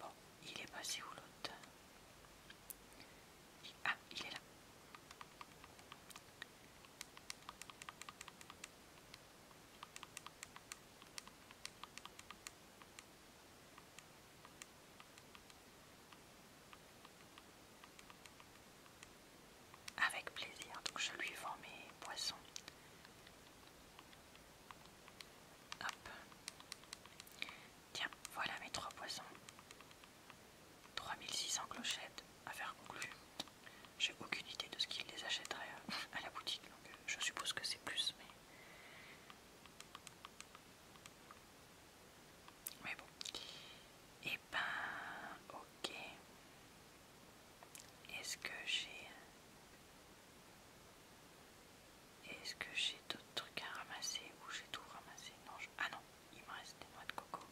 Bon, il est passé où l'autre Ah, il est là. Avec plaisir, donc je lui vends mes poissons. Tiens, voilà mes trois poissons. 3600 clochettes, à faire conclue. J'ai aucune idée de ce qu'il les achèterait euh, [laughs] à la boutique, euh, je suppose que c'est plus, mais. Mais bon. Et eh ben, ok. Est-ce que j'ai est-ce que j'ai d'autres trucs à ramasser ou j'ai tout ramassé non, Ah non, il me reste des noix de coco.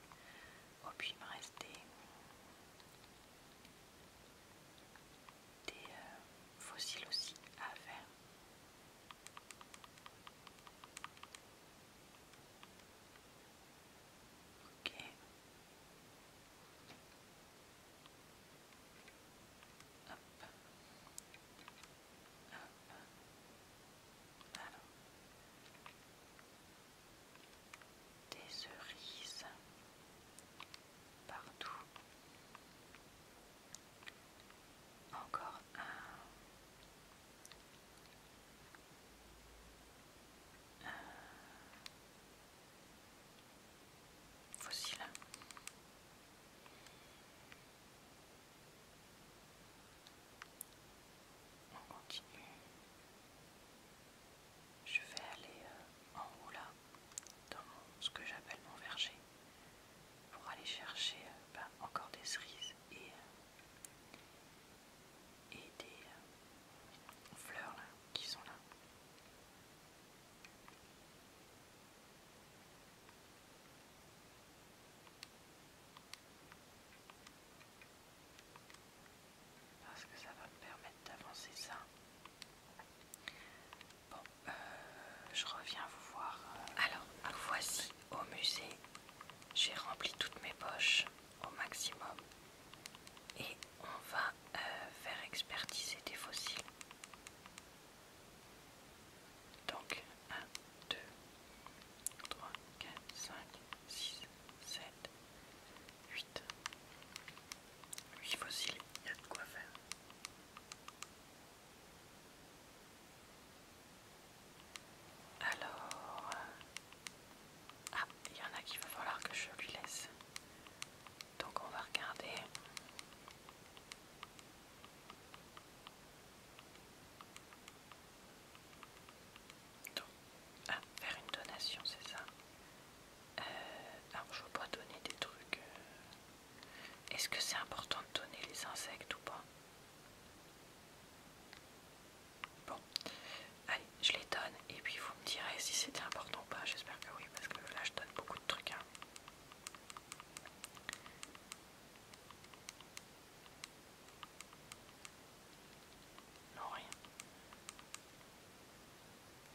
Oh, puis il me reste des, euh, fossiles aussi à faire. Ok. Des cerises partout. Encore un fossile. On continue. Je vais aller euh, en haut là, dans ce que j'appelle mon verger, pour aller chercher euh, bah, encore des cerises et, euh, des fleurs là, qui sont là. Parce que ça va me permettre d'avancer ça. Bon, euh, je reviens vous voir. Euh, Alors, voici au musée. J'ai rempli toutes mes poches au maximum. Et on va euh, faire expertiser des fossiles. Donc 1, 2, 3, 4, 5, 6, 7, 8. 8 fossiles, il y a de quoi faire. Alors, euh, ah, il y en a qu'il va falloir que je lui laisse donc on va regarder. ah, faire une donation, c'est ça. Euh, alors je ne veux pas donner des trucs. Euh. Est-ce que c'est important de donner les insectes ou pas Bon, allez, je les donne et puis vous me direz si c'était important ou pas. J'espère que oui, parce que là je donne beaucoup truc Hein. Non, rien.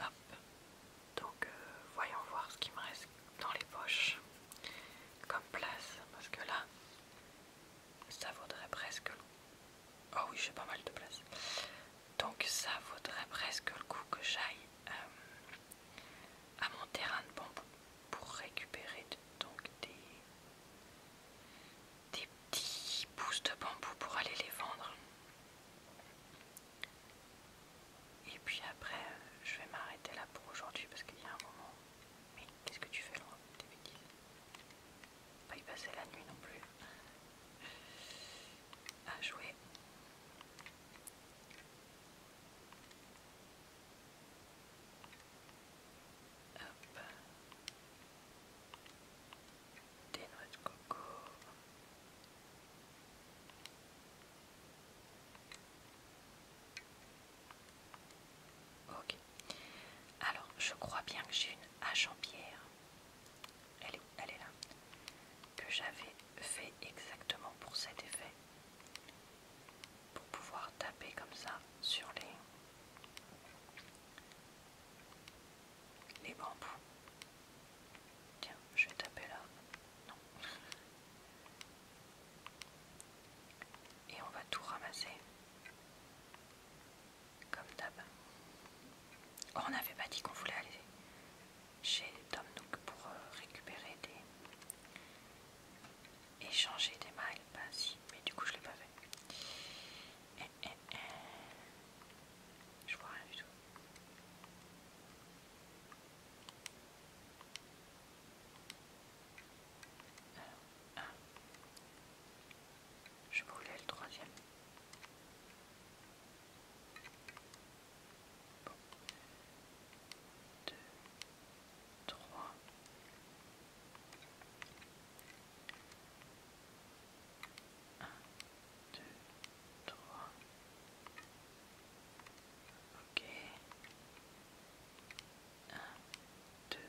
Hop. Donc, euh, voyons voir ce qui me reste dans les poches comme place. Parce que là, ça vaudrait presque le... Oh oui, j'ai pas mal de place. Donc, ça vaudrait presque le coup que j'aille euh, à mon terrain de bambou pour récupérer donc des, des petits pousses de bambou pour aller les vendre. Et puis après, je vais m'arrêter là pour aujourd'hui parce qu'il y a un moment. Mais qu'est-ce que tu fais là Des bêtises. Pas y passer la nuit non plus. À jouer. Des coco. Ok. Alors, je crois bien que j'ai une hache en pierre elle est, elle est là, que j'avais fait exactement pour cet effet, pour pouvoir taper comme ça sur les, les bambous. Tiens, je vais taper là. Non. [laughs] Et on va tout ramasser. Comme d'hab. Oh, on n'avait pas dit qu'on voulait aller chez Tom Nook pour euh, récupérer des. échanger des mailles. Bah si, mais du coup je l'ai pas fait. Eh, eh, eh. Je vois rien du tout. Je voulais le troisième. 2, 3. Un, deux, trois. Ok. Un, deux,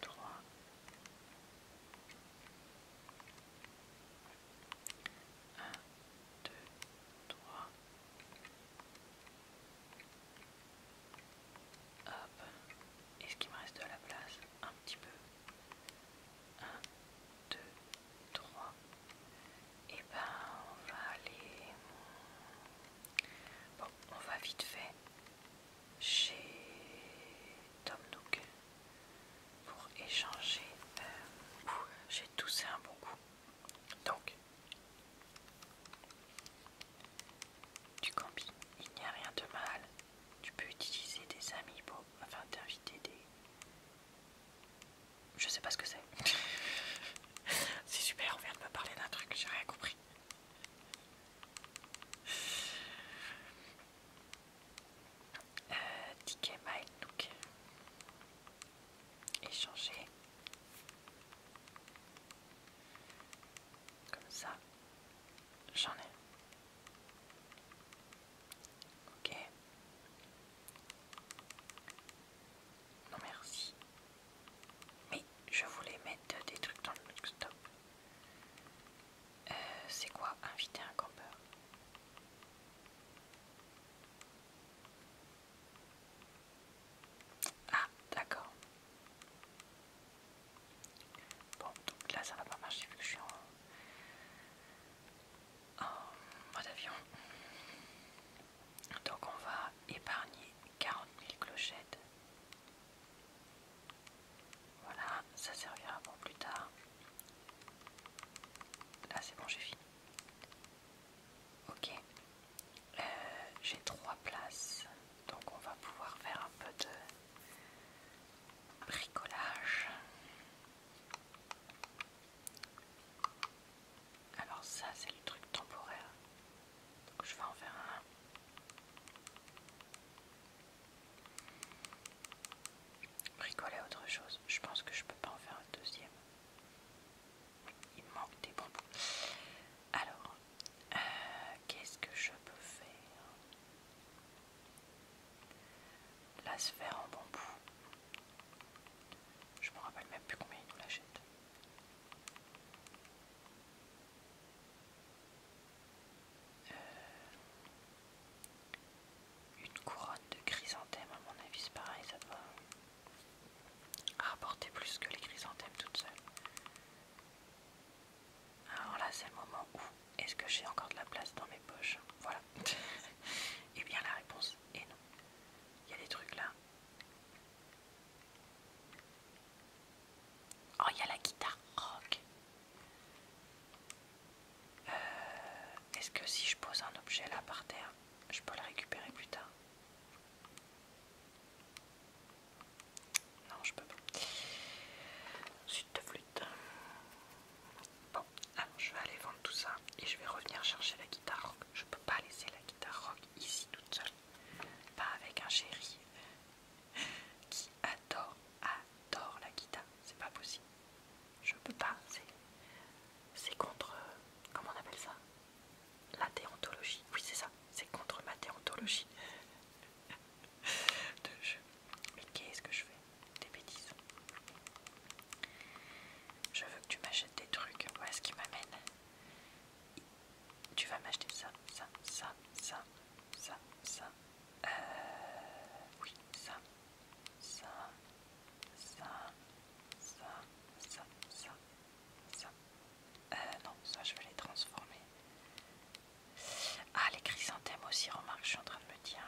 trois. 1, 2, 3. Hop. Est-ce qu'il me reste de la place Un petit peu. 1, 2, 3. Et ben on va aller... Bon, on va vite fait chez Tom Nook pour échanger. Euh, j'ai toussé un bon coup. Donc, tu combines, il n'y a rien de mal. Tu peux utiliser des amis pour enfin t'inviter des. Je sais pas ce que c'est. [laughs] c'est super, on vient de me parler d'un truc, j'ai rien compris. Euh, ticket My échanger comme ça j'en ai ok non merci mais je voulais mettre des trucs dans le stop euh, c'est quoi inviter un campeur ah, d'accord. Bon, donc là ça va pas marcher vu que je suis en, en mode avion. Donc on va épargner 40 000 clochettes. Voilà, ça servira pour plus tard. Là c'est bon, j'ai fini. Ok, euh, j'ai trois places, donc on va pouvoir faire un peu de bricolage. Alors ça c'est le truc temporaire, donc je vais en faire un. Bricoler autre chose, je pense que je peux pas en faire un deuxième. Il manque des bonbons. Alors, euh, qu'est-ce que je peux faire La sphère en bambou. Je me rappelle même plus combien ils nous l'achètent. Euh, une couronne de chrysanthème, à mon avis, c'est pareil, ça doit rapporter plus que les chrysanthèmes toutes seules. Alors là, c'est le moment où est-ce que j'ai encore de la place dans mes poches Voilà. [laughs] Et eh bien la réponse est non. Il y a des trucs là. Oh, il y a la guitare rock. Euh, est-ce que si je pose un objet là par terre, je peux la récupérer plus tard. Non, je peux pas. Suite de flûte. Bon, alors je vais aller vendre tout ça et je vais revenir chercher la guitare rock. Je peux pas laisser la guitare rock ici toute seule. Pas avec un chéri qui adore, adore la guitare. C'est pas possible je peux pas. C'est contre. comment on appelle ça La déontologie. Oui, c'est ça. C'est contre ma déontologie [laughs] de jeu. Mais qu'est-ce que je fais Des bêtises. Je veux que tu m'achètes des trucs. est ce qui m'amène. Tu vas m'acheter ça, ça, ça, ça, ça, ça. Euh, oui, ça ça, ça, ça, ça, ça, ça. Euh, non, ça je vais les transformer. Ah, les chrysanthèmes aussi, remarque, je suis en train de me dire.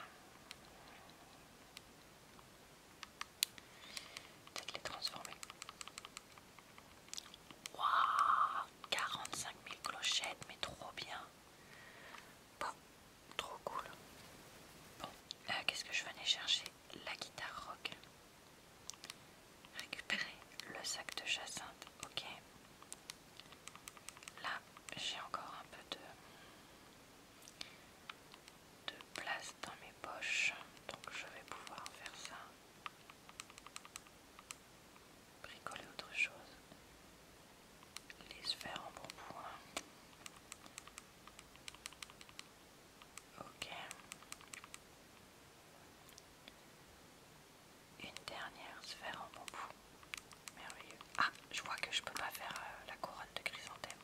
Peut-être les transformer. Waouh 45 000 clochettes, mais trop bien. Bon, Trop cool. Bon, là qu'est-ce que je venais chercher La guitare rock. Récupérer le sac de jacinthe, ok. Là, j'ai encore un peu de, de place dans mes poches, donc je vais pouvoir faire ça. Bricoler autre chose. Les sphères en bon point. Ok. Une dernière sphère en bambou. Merveilleux. Ah, je vois que je peux pas faire euh, la couronne de chrysanthème.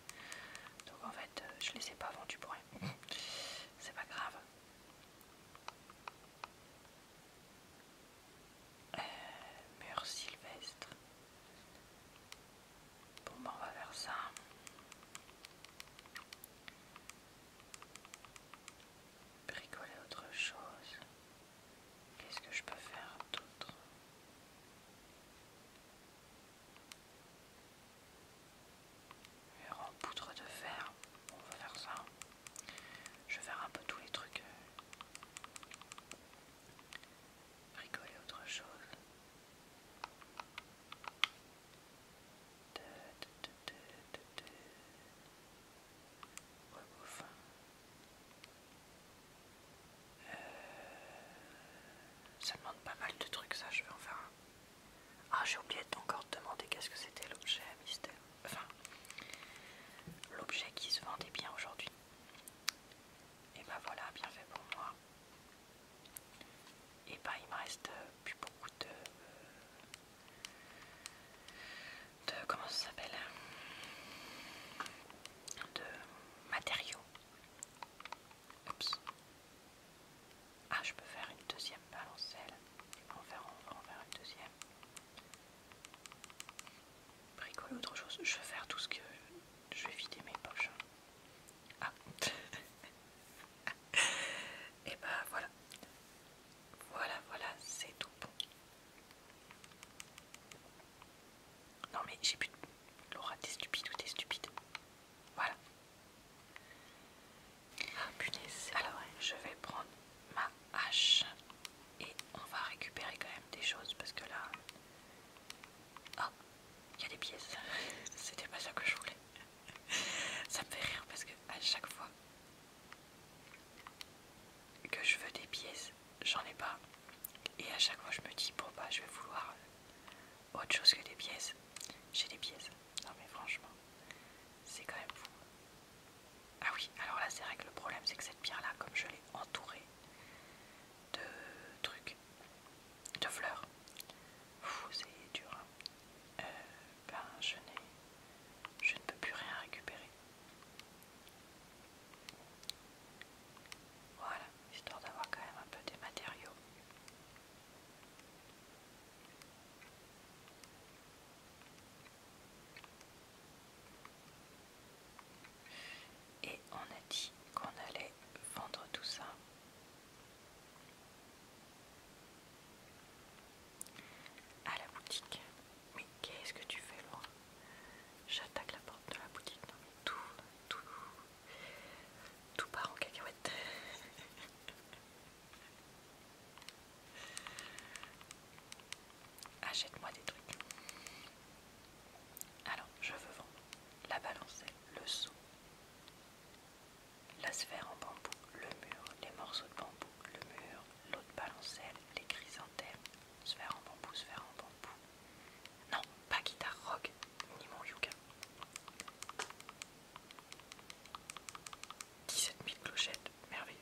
Donc en fait, euh, je les ai pas vendu pour rien. [laughs] C'est pas grave. Euh, mur sylvestre. Bon, ben, on va faire ça. Bricoler autre chose. Qu'est-ce que je peux faire d'autre Mur en de fer. on va faire ça. Je vais faire un peu tous les trucs. Bricoler autre chose. Euh, ça demande pas mal de trucs, ça. Je vais en faire un. Ah, j'ai oublié encore de demander qu'est-ce que c'était l'objet mystère. Enfin, l'objet qui se vendait bien aujourd'hui. Et bah ben voilà, bien fait pour moi. Et eh bah ben, il me reste euh, plus beaucoup de, de comment ça s'appelle hein, de matériaux. Ah je peux faire une deuxième balancelle. envers en faire, une deuxième. Bricole, autre chose. Je vais faire tout ce que je vais vider mes poches. Hein. Ah [laughs] Et bah ben, voilà. Voilà, voilà, c'est tout bon. Non mais j'ai plus de... Laura, t'es stupide ou t'es stupide Voilà. Ah Alors je vais prendre ma hache et on va récupérer quand même des choses parce que là... Oh, il y a des pièces. C'était pas ça que je voulais. ça me fait rire parce que à chaque fois que je veux des pièces, j'en ai pas. Et à chaque fois, je me dis, bon bah, je vais vouloir autre chose que des pièces. J'ai des pièces. Non mais franchement, c'est quand même fou. Ah oui, alors là, c'est vrai que le problème, c'est que cette pierre-là, comme je l'ai entourée, de trucs, de fleurs. et dur. Hein. Euh, ben, je, je ne peux plus rien récupérer. Voilà, histoire d'avoir quand même un peu des matériaux. Et on a dit qu'on allait vendre tout ça à la boutique. Mais qu'est-ce que tu fais, Laura J'attaque la porte de la boutique. Non, mais tout, tout, tout part en cacahuète. [laughs] Achète-moi des trucs. Alors, je veux vendre la balancelle, le seau, la sphère en bambou, le mur, les morceaux de bambou, le mur, l'eau de balancelle, les chrysanthèmes, sphère en bambou, sphère en bambou. Non, pas guitare rock, ni mon yoga 17 000 clochettes, merveilleux.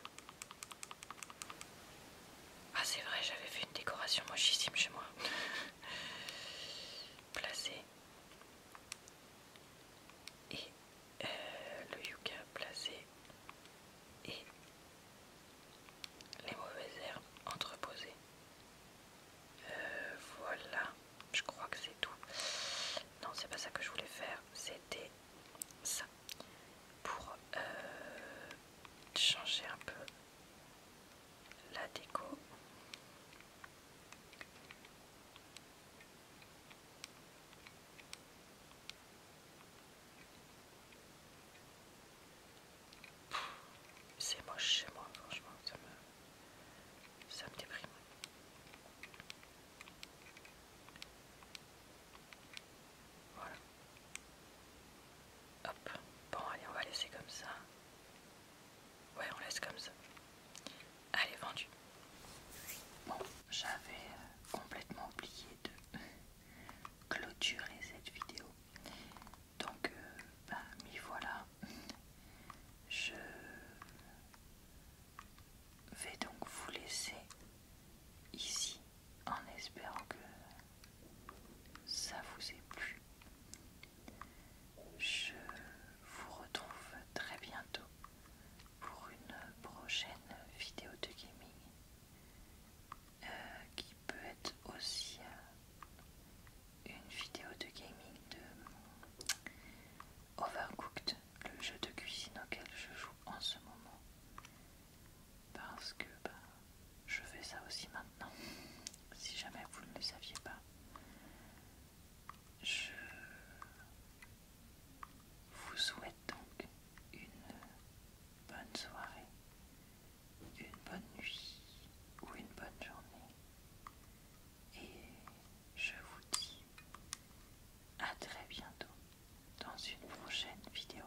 Ah c'est vrai, j'avais fait une décoration mochissime chez moi. [laughs] Placé et euh, le yucca placé et les mauvaises herbes entreposées. Euh, voilà, je crois que c'est tout. Non, c'est pas ça que je voulais faire, c'était ça pour euh, changer un peu la déco. C'est moi chez moi, franchement, ça me, ça me déprime. Voilà. Hop. Bon, allez, on va laisser comme ça. Ouais, on laisse comme ça. Allez, vendu. Bon, j'avais euh, complètement oublié de [laughs] clôturer cette vidéo. Donc, bah, m'y voilà. Je vais donc vous laisser ici en espérant que ça vous ait plu je vous retrouve très bientôt pour une prochaine vidéo de gaming euh, qui peut être aussi euh, une vidéo de gaming de Overcooked, le jeu de cuisine auquel je joue en ce moment parce que bah, je fais ça aussi maintenant si jamais vous ne le saviez pas je vous souhaite donc une bonne soirée, une bonne nuit ou une bonne journée. Et je vous dis à très bientôt dans une prochaine vidéo.